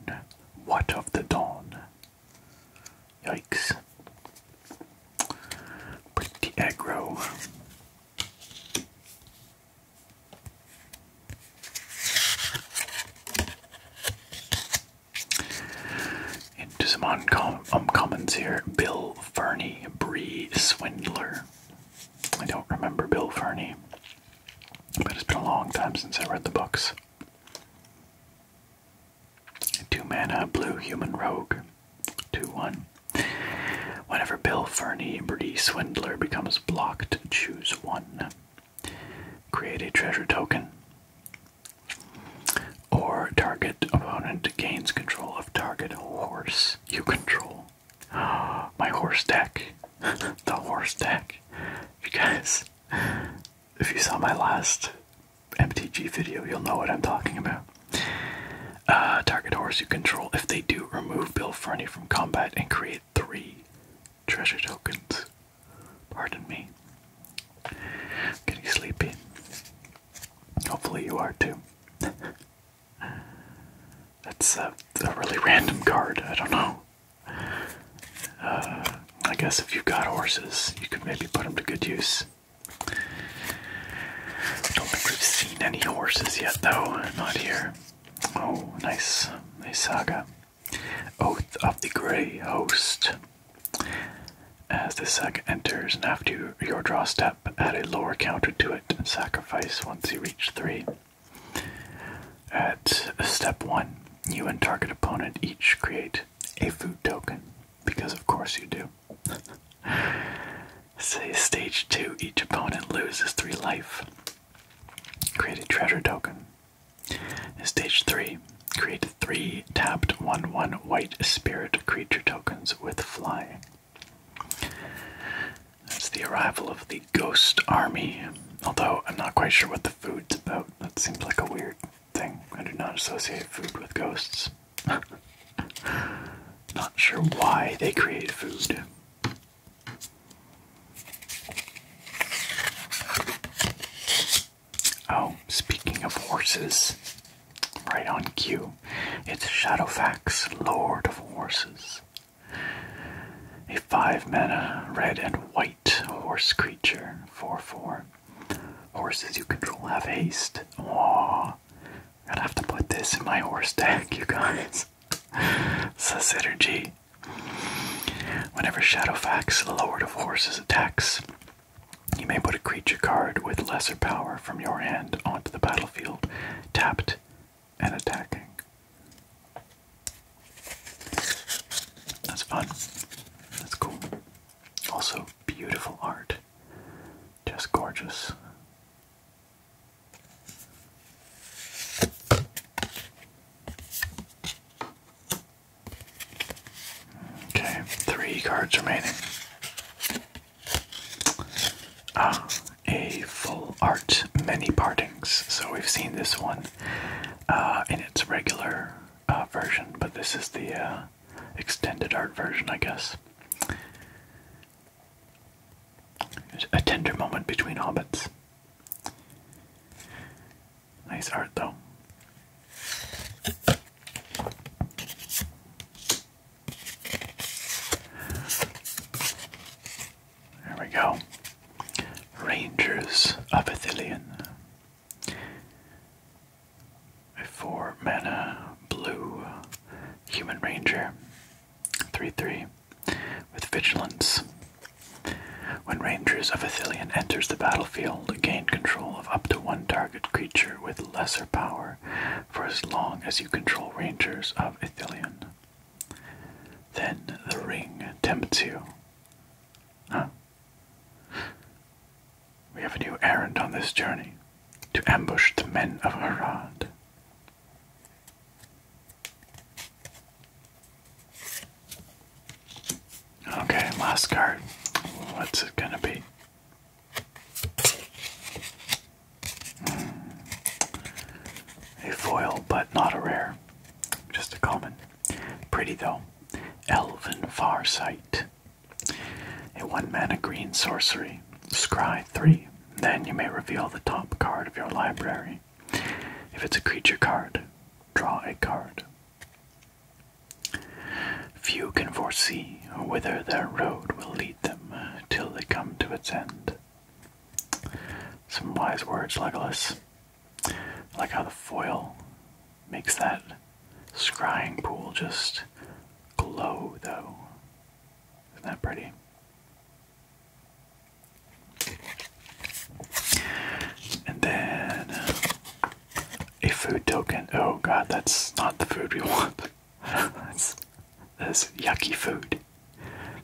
What of the dawn? Yikes. Pretty aggro. Into some uncommons um, here. Bill Fernie, Bree Swindler. I don't remember Bill Fernie, but it's been a long time since I read the books. Two mana, blue human rogue. 2 1. Whenever Bill Fernie, Bree Swindler becomes blocked, choose one. Create a treasure token. Or target opponent gains control of target horse you control. [GASPS] My horse deck. [LAUGHS] the horse deck. You guys, [LAUGHS] if you saw my last MTG video, you'll know what I'm talking about. Uh, target horse you control. If they do, remove Bill Fernie from combat and create three treasure tokens. Pardon me. getting sleepy. Hopefully, you are too. [LAUGHS] That's a, a really random card. I don't know. Uh, I guess if you've got horses, you could maybe put them to good use. Don't think we've seen any horses yet, though. Not here. Oh, nice, nice saga. Oath of the Grey Host. As the sack enters, and after your draw step, add a lower counter to it sacrifice once you reach three. At step one, you and target opponent each create a food token, because of course you do. [LAUGHS] Say stage two, each opponent loses three life. Create a treasure token stage 3, create 3 tapped 1 1 white spirit creature tokens with flying. That's the arrival of the Ghost Army. Although I'm not quite sure what the food's about. That seems like a weird thing. I do not associate food with ghosts. [LAUGHS] not sure why they create food. Oh, speaking of horses, right on cue, it's Shadowfax, Lord of Horses. A five mana red and white horse creature, 4 4. Horses you control have haste. Oh, i am gonna have to put this in my horse deck, [LAUGHS] you guys. it's a synergy. Whenever Shadowfax, Lord of Horses, attacks, you may put a creature card with lesser power from your hand onto the battlefield, tapped and attacking. That's fun. That's cool. Also, beautiful art. Just gorgeous. Okay, three cards remaining. Ah, a full art many partings. So we've seen this one uh, in its regular uh, version, but this is the uh, extended art version, I guess. A tender moment between hobbits. Nice art though. There we go. Rangers of Athelion. A four mana blue human ranger. 3 3 with vigilance. When Rangers of Athelion enters the battlefield, gain control of up to one target creature with lesser power for as long as you control Rangers of Athelion. Then the ring tempts you. Huh? We have a new errand on this journey to ambush the men of Harad. Okay, last card. What's it gonna be? Hmm. A foil, but not a rare. Just a common. Pretty though. Elven Farsight. A one mana green sorcery. Scry 3. Then you may reveal the top card of your library. If it's a creature card, draw a card. Few can foresee whither their road will lead them uh, till they come to its end. Some wise words, Legolas. I like how the foil makes that scrying pool just glow, though. Isn't that pretty? And then uh, a food token. Oh god, that's not the food we [LAUGHS] want. that's, that's yucky food.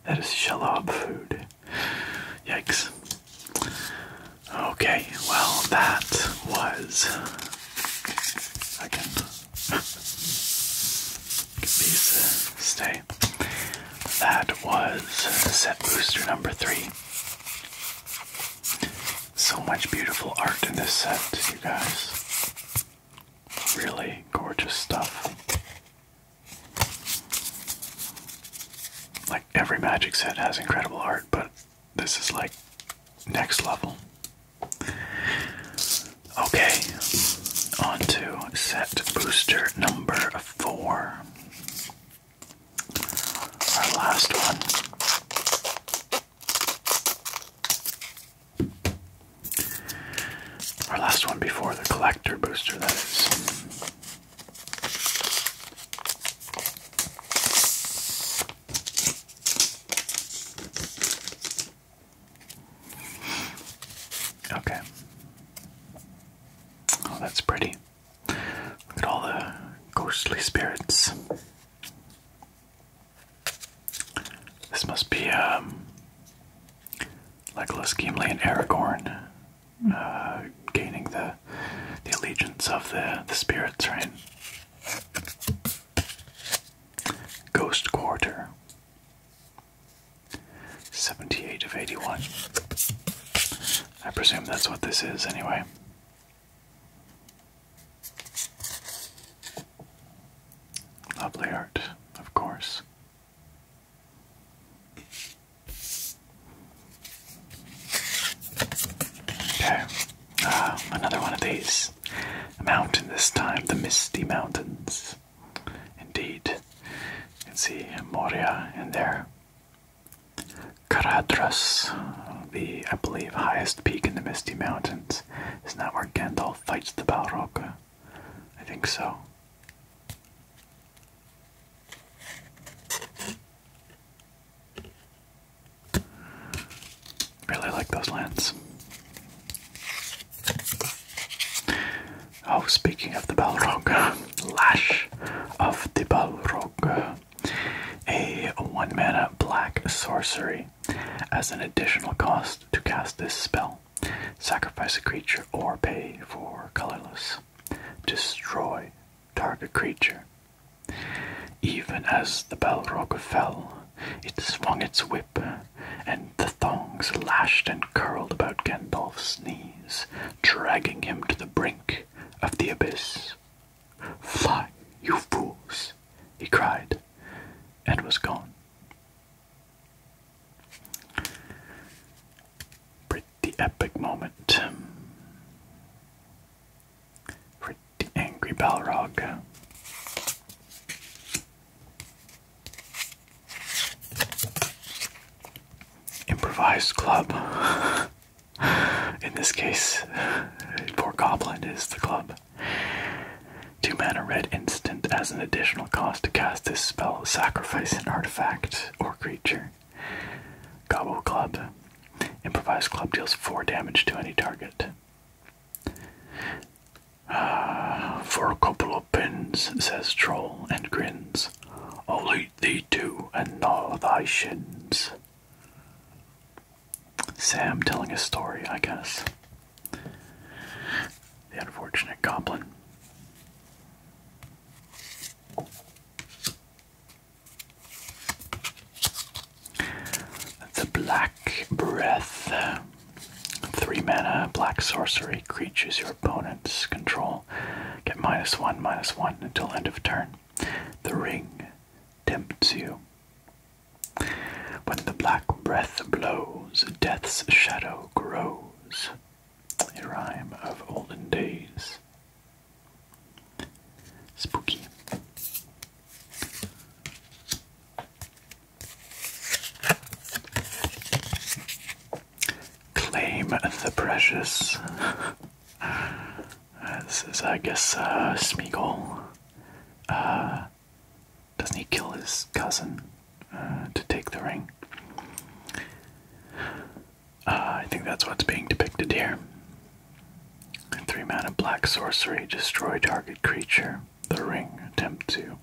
That is shalab food. Yikes. Okay, well, that was. I can. [LAUGHS] These uh, stay. That was set booster number three. So much beautiful art in this set, you guys. Really gorgeous stuff. Like every magic set has incredible art, but this is like next level. Okay, on to set booster number four. Our last one. Our last one before the collector booster, that is. Okay. Oh, that's pretty. Look at all the ghostly spirits. This must be um, Legolas, Gimli, and Aragorn uh, gaining the the allegiance of the the spirits, right? Ghost Quarter. 78 of 81. I presume that's what this is anyway. Lovely art, of course. Okay, uh, another one of these. A mountain this time, the Misty Mountains. Indeed, you can see Moria in there. Caradhras, the, I believe, highest peak in the Misty Mountains. Isn't that where Gandalf fights the Balrog? I think so. Really like those lands. Oh, speaking of the Balrog, Lash of the Balrog a 1 mana black sorcery. As an additional cost to cast this spell, sacrifice a creature or pay for colorless. Destroy target creature. Even as the Balrog fell, it swung its whip, and the thongs lashed and curled about Gandalf's knees, dragging him to the brink of the abyss. Fly, you fools! he cried, and was gone. Pretty epic moment. Pretty angry Balrog. Improvised club. [LAUGHS] In this case, poor Goblin is the club. Two mana red instant as an additional cost to cast this spell, sacrifice an artifact or creature. Gobble Club. Improvised club deals 4 damage to any target. Uh, for a couple of pins, says Troll and grins. I'll eat thee to and gnaw thy shins. Sam telling a story, I guess. The unfortunate goblin. The Black Breath. Three mana, black sorcery, creatures your opponents control. Get minus one, minus one until end of turn. The Ring tempts you. When the black breath blows, death's shadow grows. A rhyme of olden days. Spooky. Claim the precious this is, I guess, uh, Smeagol. Uh, doesn't he kill his cousin uh, to take the ring? Uh, I think that's what's being depicted here. Three mana black sorcery, destroy target creature. The ring, attempt to.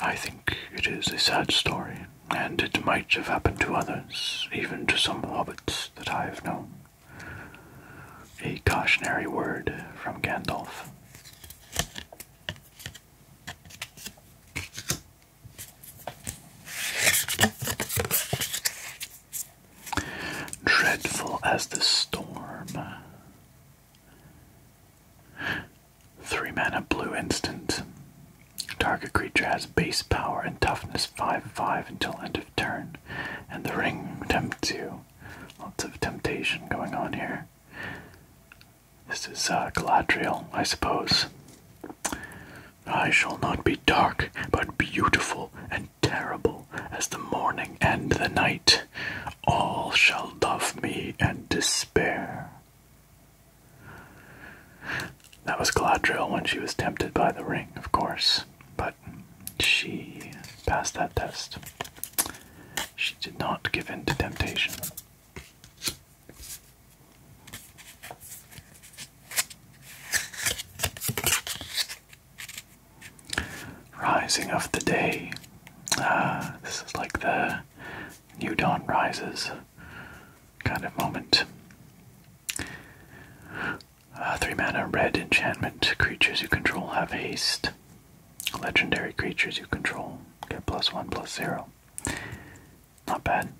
I think it is a sad story, and it might have happened to others, even to some hobbits that I have known. A cautionary word from Gandalf. Dreadful as the storm. Three mana blue instant. Target creature has base power and toughness 5 5 until end of turn and the ring tempts you. Lots of temptation going on here. This is uh, Galadriel, I suppose. I shall not be dark, but beautiful and terrible as the morning and the night. All shall love me and despair. That was Galadriel when she was tempted by the ring, of course, by she passed that test. She did not give in to temptation. Rising of the day. Ah, this is like the new dawn rises kind of moment. Uh, three mana red enchantment creatures you control have haste. Legendary creatures you control get plus one plus zero. Not bad.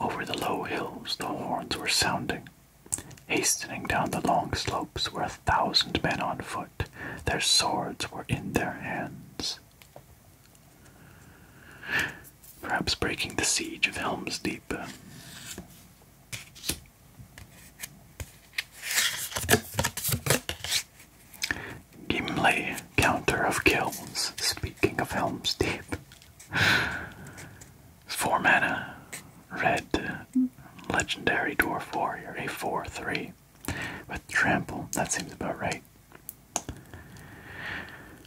Over the low hills the horns were sounding. Hastening down the long slopes were a thousand men on foot. Their swords were in their hands. Perhaps breaking the siege of Helm's Deep. Gimli, counter of kills. Speaking of Helm's Deep. Four mana. Red legendary dwarf warrior, a 4-3. With trample, that seems about right.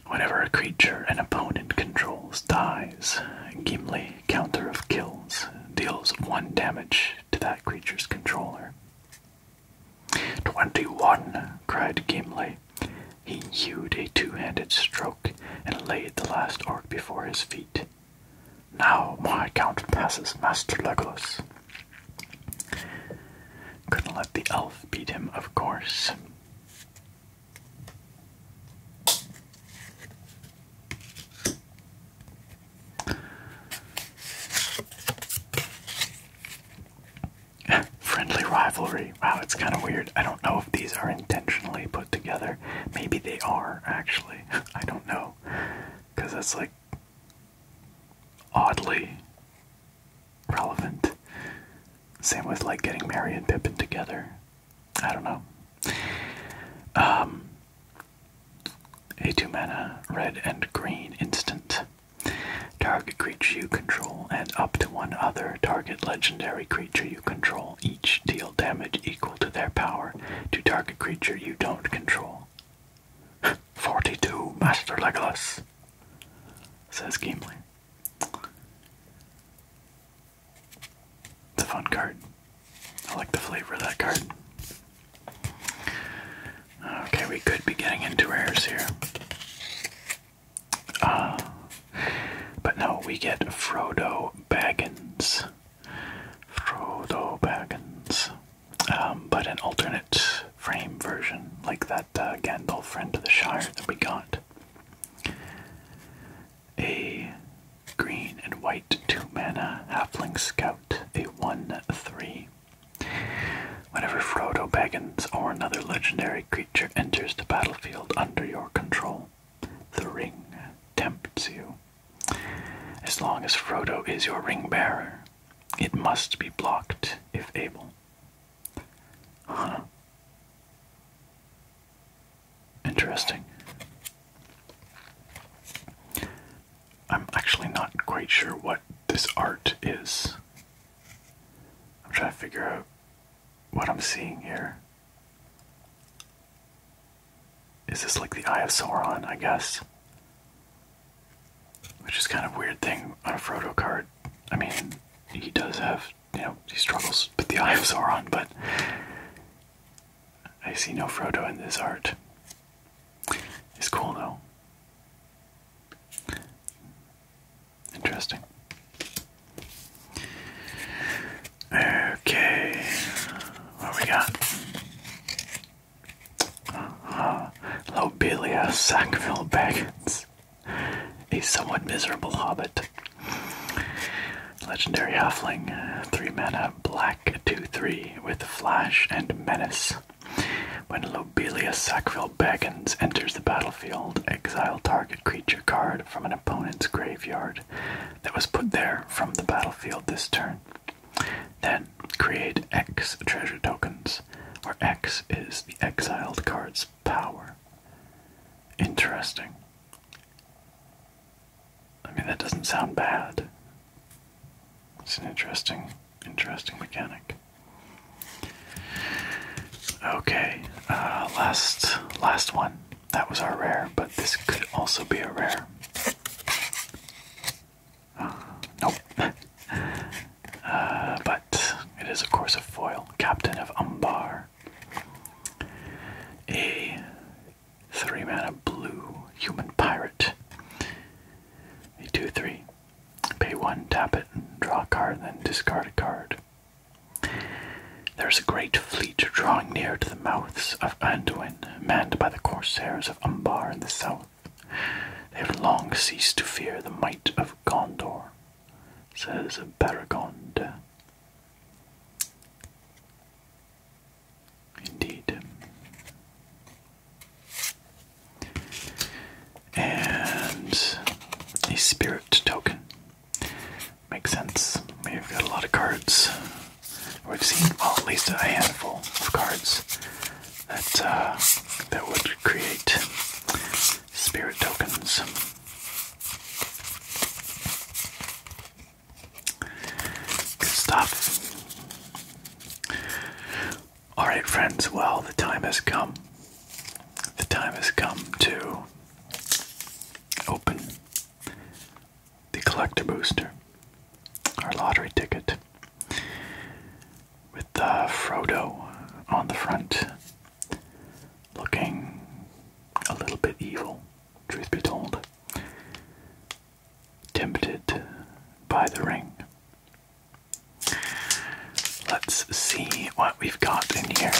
Whenever a creature an opponent controls dies, Gimli counter of kills deals one damage to that creature's controller. Twenty-one! cried Gimli. He hewed a two-handed stroke and laid the last orc before his feet. Now my count passes, Master Legolas. Couldn't let the elf beat him, of course. Friendly rivalry. Wow, it's kind of weird. I don't know if these are intentionally put together. Maybe they are, actually. [LAUGHS] I don't know. Because that's like oddly relevant. Same with like getting Mary and Pippin together. I don't know. Um, a two mana red and green instant. Target creature you control and up to one other target legendary creature you control each deal damage equal to their power to target creature you don't control. [LAUGHS] 42 Master Legolas, says Gimli. It's a fun card. I like the flavor of that card. Okay, we could be getting into rares here. Uh, but no, we get Frodo Baggins. Frodo Baggins. Um, but an alternate frame version, like that uh, Gandalf Friend of the Shire that we got a green and white 2 mana halfling scout, a 1 3. Whenever Frodo Baggins or another legendary creature enters the battlefield under your control, the ring tempts you. As long as Frodo is your ring bearer, it must be blocked if able. Huh. Interesting. I'm actually not quite sure what this art is. I'm trying to figure out what I'm seeing here. Is this like the Eye of Sauron, I guess? Which is kind of weird thing on a Frodo card. I mean, he does have you know, he struggles with the Eye of Sauron, but I see no Frodo in this art. It's cool though. Interesting. Okay, what we got? Uh, Lobelia Sackville Baggins, a somewhat miserable hobbit Legendary Huffling, 3 mana, black, 2 3, with Flash and Menace. When Lobelia sackville Beckons enters the battlefield, exile target creature card from an opponent's graveyard that was put there from the battlefield this turn. Then create X treasure tokens, where X is the exiled card's power. Interesting. I mean, that doesn't sound bad. It's an interesting, interesting mechanic. Okay, uh, last, last one. That was our rare, but this could also be a rare. Uh, nope. [LAUGHS] uh, but it is, of course, a foil. Captain of Umbar. A Three of blue human pirate. A two three. Pay one, tap it, draw a card, then discard a card. There's a great fleet drawing near to the mouths of Anduin, manned by the corsairs of Umbar in the south. They have long ceased to fear the might of Gondor, says Baragond. Indeed. And a spirit token. Makes sense. We've got a lot of cards. We've seen, well, at least a handful of cards that uh, that would create spirit tokens. Good stuff. Alright, friends, well, the time has come. The time has come to open the collector booster, our lottery ticket, with uh, Frodo on the front, looking a little bit evil truth be told, tempted by the ring. Let's see what we've got in here.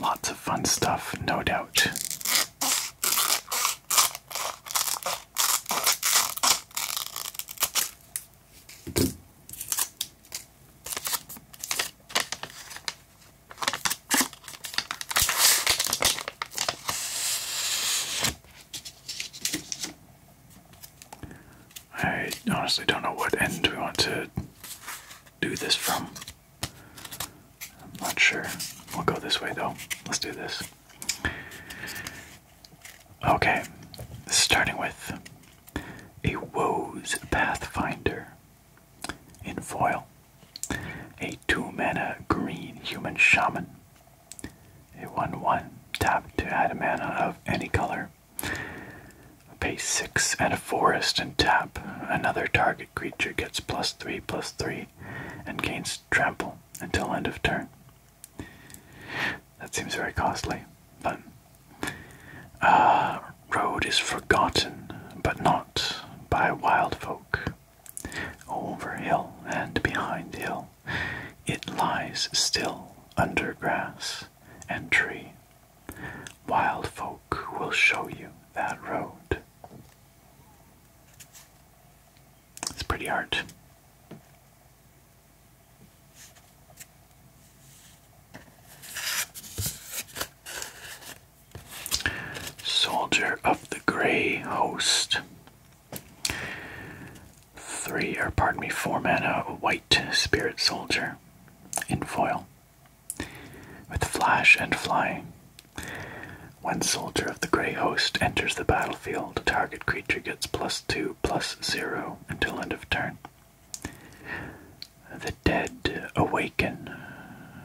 Lots of fun stuff, no doubt. I honestly don't know what end we want to do this from. I'm not sure. We'll go this way though. Let's do this. Okay, starting with a woes pathfinder. In foil, a two mana green human shaman. A 1 1 tap to add a mana of any color. Pay 6 and a forest and tap. Another target creature gets plus 3 plus 3 and gains trample until end of turn. That seems very costly, but. Uh, road is forgotten, but not by wild folk. Over hill and behind hill, it lies still under grass and tree. Wild folk will show you that road. It's pretty art. Soldier of the Grey Host. Three, or pardon me, four mana, white spirit soldier in foil with flash and fly. When Soldier of the Grey Host enters the battlefield, the target creature gets plus two, plus zero until end of turn. The dead awaken,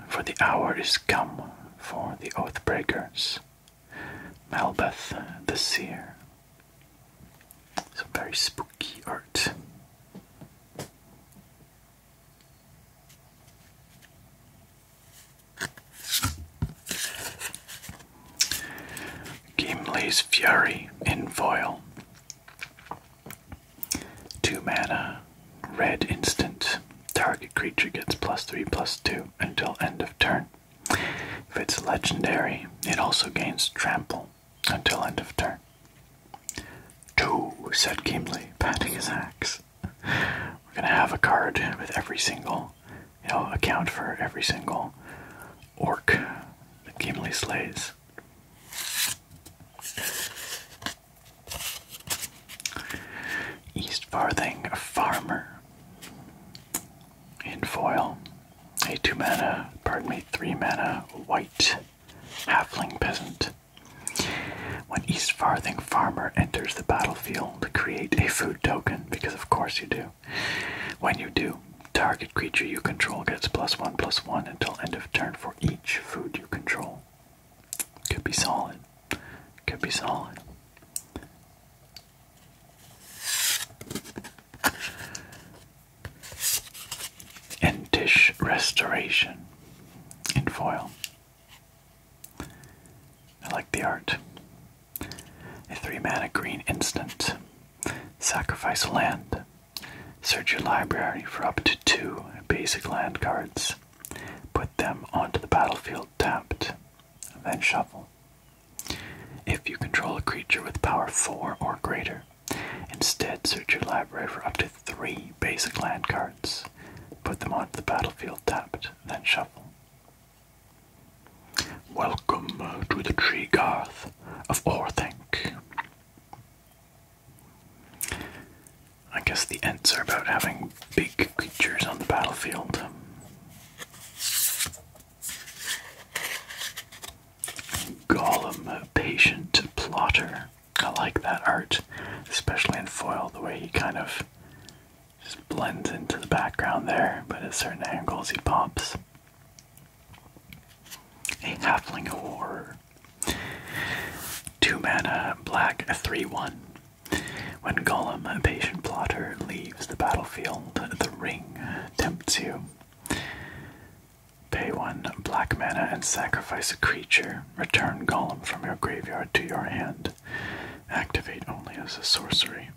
for the hour is come for the oathbreakers. Malbeth the Seer. Some very spooky art. Gimli's Fury in Foil. 2 mana, red instant. Target creature gets plus 3 plus 2 until end of turn. If it's legendary, it also gains trample until end of turn. Two, said Gimli, patting his axe. We're gonna have a card with every single, you know, account for every single orc that Gimli slays. East Farthing, a farmer. In foil, a two mana, pardon me, three mana white halfling peasant. When East Farthing Farmer enters the battlefield, create a food token, because of course you do. When you do, target creature you control gets plus one plus one until end of turn for each food you control. Could be solid. Could be solid. And dish restoration in foil. I like the art. A three mana green instant. Sacrifice land. Search your library for up to two basic land cards. Put them onto the battlefield tapped, then shuffle. If you control a creature with power 4 or greater, instead search your library for up to 3 basic land cards. Put them onto the battlefield tapped, then shuffle. Welcome to the Tree Garth of Orthanc. I guess the Ents are about having big creatures on the battlefield. Gollum, patient plotter. I like that art, especially in foil, the way he kind of just blends into the background there, but at certain angles he pops. A halfling horror. Two mana, black, 3 1. When Golem, a patient plotter, leaves the battlefield, the ring tempts you. Pay one black mana and sacrifice a creature. Return Golem from your graveyard to your hand. Activate only as a sorcery.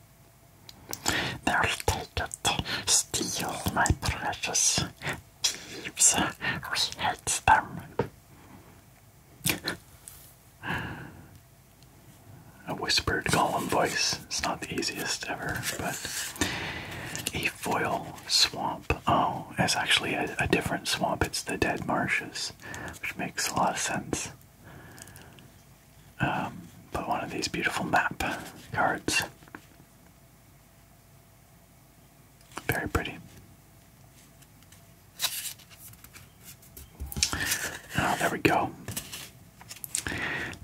They'll take it. Steal my precious thieves. We hate them. A whispered, column voice. It's not the easiest ever, but a foil swamp. Oh, it's actually a, different swamp. It's the Dead Marshes, which makes a lot of sense. Um, but one of these beautiful map cards. Very pretty. Oh, there we go.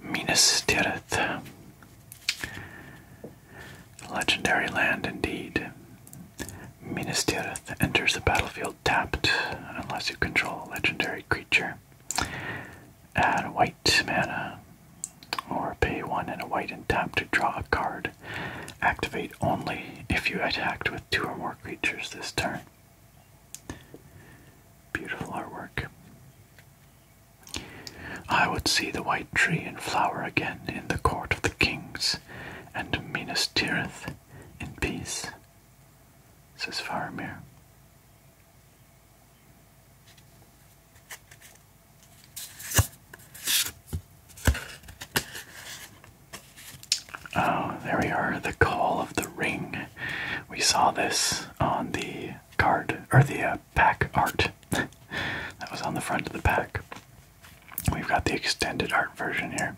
Minas Tirith. Legendary land indeed. Minas Tirith enters the battlefield tapped unless you control a legendary creature. Add white mana or pay one and a white and tap to draw a card. Activate only if you attacked with two or more creatures this turn. Beautiful artwork. I would see the white tree and flower again in the court of the kings, and Minas Tirith in peace, says Farimir. Oh, there we are. The Call of the Ring. We saw this on the card, or the uh, pack art. [LAUGHS] that was on the front of the pack. We've got the extended art version here.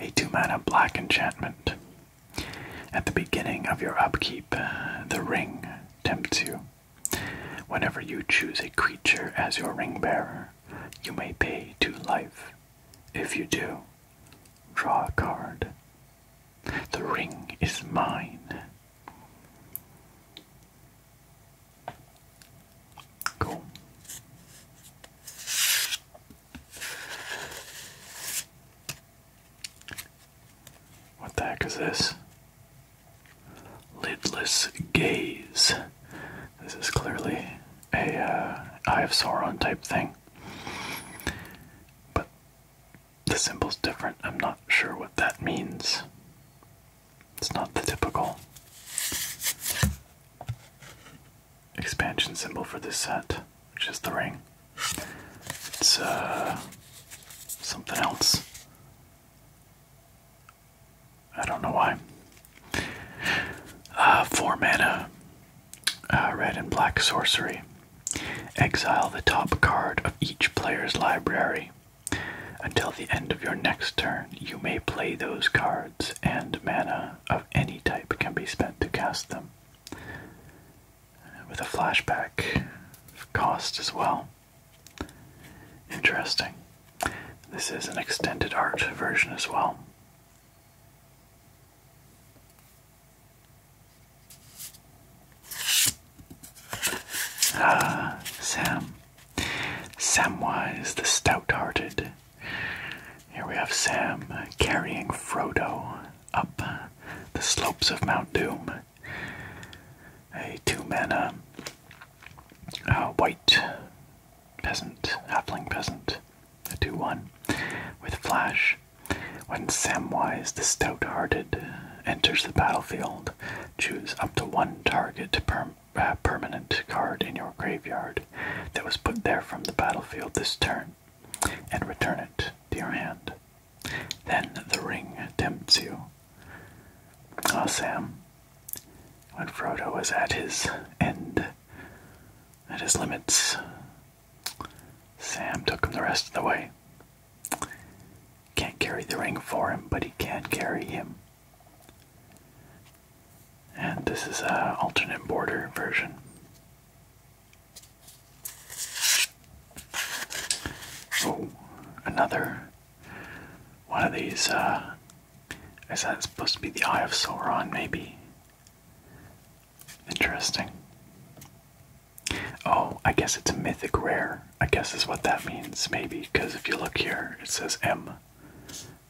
A 2 mana black enchantment. At the beginning of your upkeep, uh, the ring tempts you. Whenever you choose a creature as your ring bearer, you may pay two life. If you do, draw a card. The ring is mine. Cool. What the heck is this? Lidless Gaze. This is clearly a uh, Eye of Sauron type thing. But the symbol's different. I'm not sure what that means. It's not the typical expansion symbol for this set, which is the ring. It's uh, something else. I don't know why. Uh, four mana, uh, red and black sorcery. Exile the top card of each player's library. Until the end of your next turn, you may play those cards, and mana of any type can be spent to cast them. With a flashback cost as well. Interesting. This is an extended art version as well. Ah, Sam. Samwise the Stout Hearted. Here we have Sam carrying Frodo up the slopes of Mount Doom. A two mana uh, white peasant, halfling peasant, a 2 1 with Flash. When Samwise the Stout Hearted enters the battlefield, choose up to one target per uh, permanent card in your graveyard that was put there from the battlefield this turn and return it to your hand. Then the ring tempts you. Ah, Sam, when Frodo was at his end, at his limits, Sam took him the rest of the way. Can't carry the ring for him, but he can carry him. And this is an alternate border version. Oh, another one of these, uh, is that supposed to be the Eye of Sauron, maybe? Interesting. Oh, I guess it's a mythic rare, I guess is what that means, maybe, because if you look here, it says M.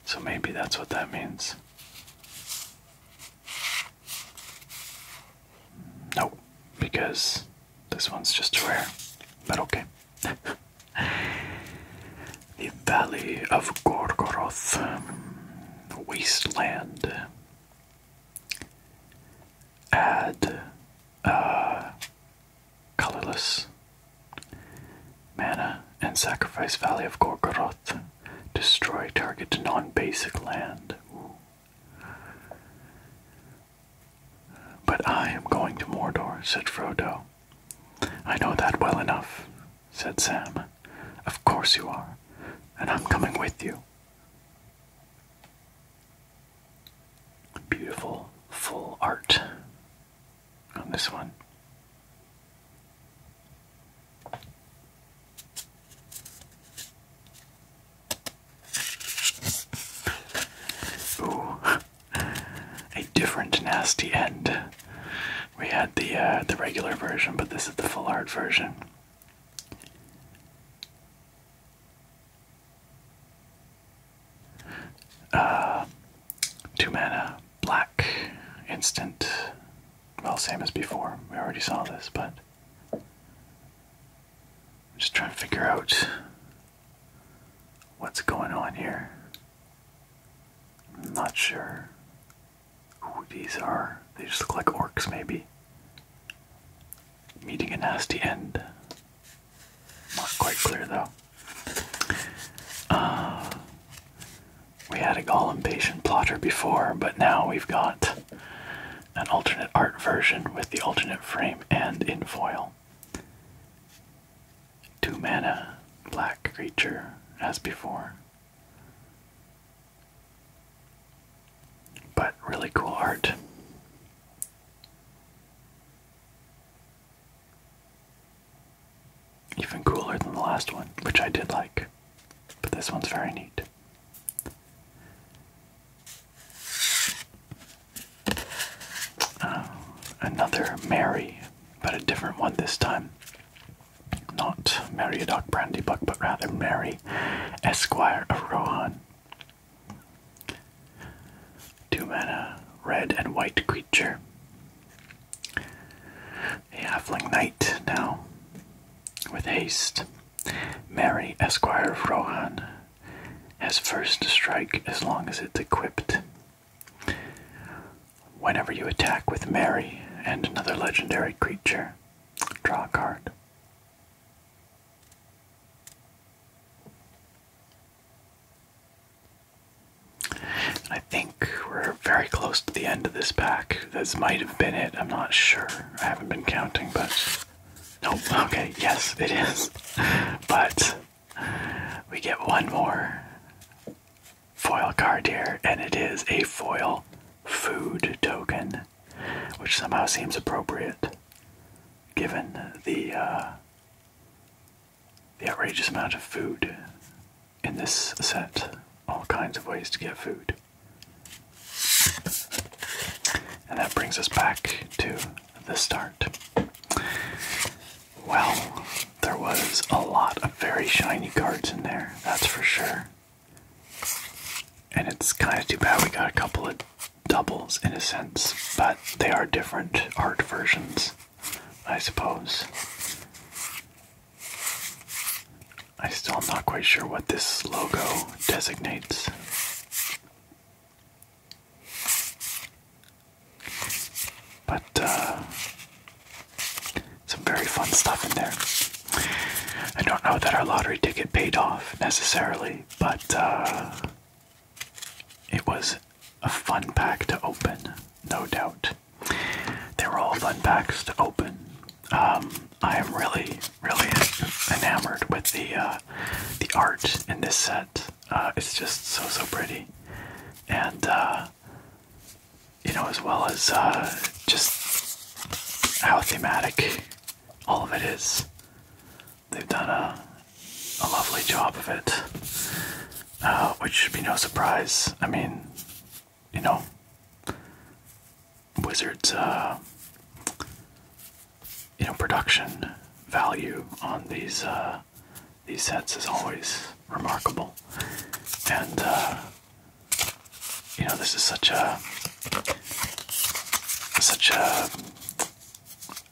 So maybe that's what that means. Nope, because this one's just rare, but okay the Valley of Gorgoroth, wasteland. Add uh, colorless mana and sacrifice Valley of Gorgoroth. Destroy target non-basic land. But I am going to Mordor," said Frodo. I know that well enough, said Sam. Of course you are, and I'm coming with you. Beautiful full art on this one a different nasty end. We had the uh, the regular version, but this is the full art version. Uh, two mana, black, instant. Well, same as before. We already saw this, but I'm just trying to figure out what's going on here. I'm not sure who these are. They just look like orcs, maybe. Meeting a nasty end. Not quite clear, though. Uh, we had a Gollum Patient plotter before, but now we've got an alternate art version with the alternate frame and in foil. Two mana, black creature, as before. But really cool art. Even cooler than the last one, which I did like. But this one's very neat. Uh, another Mary but a different one this time. Not Mary a Brandybuck, but rather Mary, Esquire of Rohan. Two men, mana, red and white creature. A halfling knight now, with haste. Mary, Esquire of Rohan, has first strike as long as it's equipped. Whenever you attack with Mary and another legendary creature, draw a card. I think we're very close to the end of this pack. This might have been it. I'm not sure. I haven't been counting, but. Nope. Okay, yes, it is. [LAUGHS] But we get one more foil card here, and it is a foil food token, which somehow seems appropriate given the uh, the outrageous amount of food in this set. All kinds of ways to get food. And that brings us back to the start. Well, there was a lot of very shiny cards in there, that's for sure. And it's kind of too bad we got a couple of doubles in a sense, but they are different art versions, I suppose. I still am not quite sure what this logo designates. But uh, some very fun stuff in there. I don't know that our lottery ticket paid off necessarily, but uh, it was a fun pack to open, no doubt. They were all fun packs to open. Um, I am really, really enamored with the uh, the art in this set. it's just so so pretty, and you know, as well as uh, just how thematic all of it is. They've done a, a lovely job of it, uh, which should be no surprise. I mean, you know, Wizards, uh, you know, production value on these these sets is always remarkable. And, uh, you know, this is such a, such a,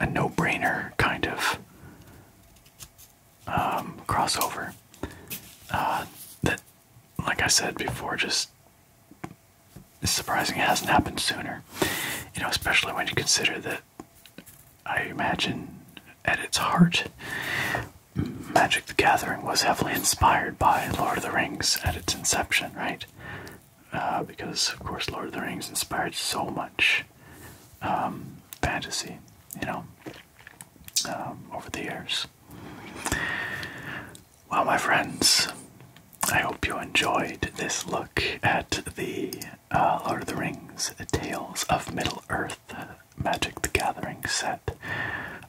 a no-brainer kind of um, crossover uh, that, like I said before, just is surprising it hasn't happened sooner. You know, especially when you consider that I imagine at its heart, Magic the Gathering was heavily inspired by Lord of the Rings at its inception, right? Uh, because, of course, Lord of the Rings inspired so much um, fantasy, you know, um, over the years. Well, my friends, I hope you enjoyed this look at the uh, Lord of the Rings Tales of Middle Earth the Magic the Gathering set,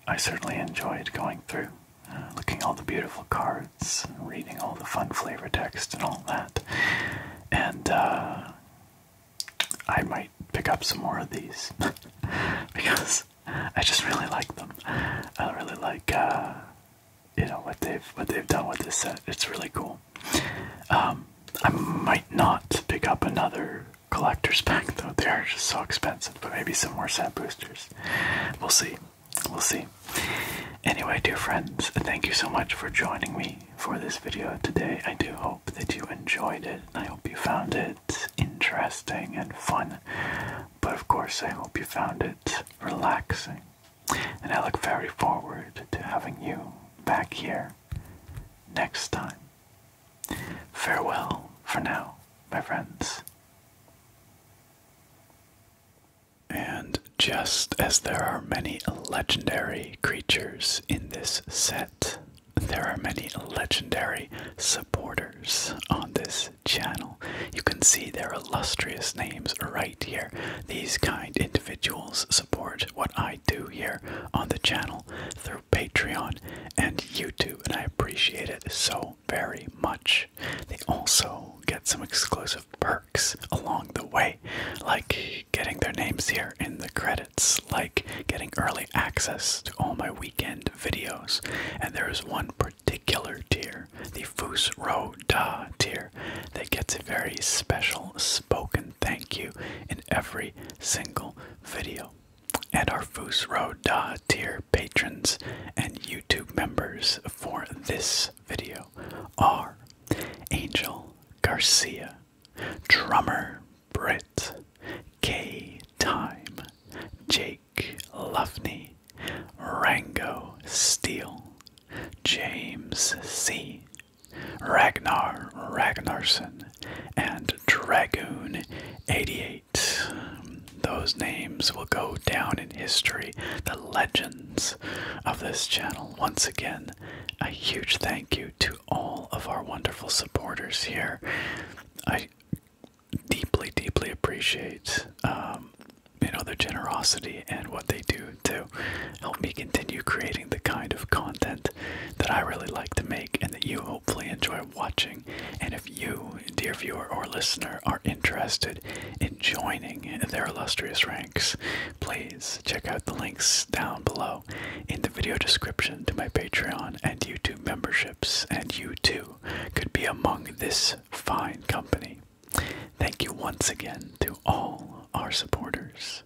I certainly enjoyed going through, uh, looking all the beautiful cards, and reading all the fun flavor text, and all that. And uh, I might pick up some more of these [LAUGHS] because I just really like them. I really like uh, you know what they've what they've done with this set. It's really cool. Um, I might not pick up another collectors pack though. They are just so expensive, but maybe some more set boosters. We'll see. We'll see. Anyway, dear friends, thank you so much for joining me for this video today. I do hope that you enjoyed it. I hope you found it interesting and fun. But of course, I hope you found it relaxing. And I look very forward to having you back here next time. Farewell for now, my friends. And just as there are many legendary creatures in this set, there are many legendary supporters on this channel. You can see their illustrious names right here. These kind individuals support what I do here on the channel Patreon and YouTube, and I appreciate it so very much. They also get some exclusive perks along the way, like getting their names here in the credits, like getting early access to all my weekend videos, and there is one particular tier, the Fus Roda tier, that gets a very special spoken thank you in every single video. And our Fusro Road tier patrons and YouTube members for this video are Angel Garcia, Drummer Britt, K Time, Jake Luffney, Rango Steele, James C. Ragnar Ragnarsson, and Dragoon 88. Those names will go down in history, the legends of this channel. Once again, a huge thank you to all of our wonderful supporters here. I deeply, deeply appreciate um, you know their generosity and what they do to help me continue creating the kind of content that I really like to make and that you hopefully enjoy watching. And if you, dear viewer or listener, are interested in joining their illustrious ranks, please check out the links down below in the video description to my Patreon and YouTube memberships, and you too could be among this fine company. Thank you once again to all our supporters.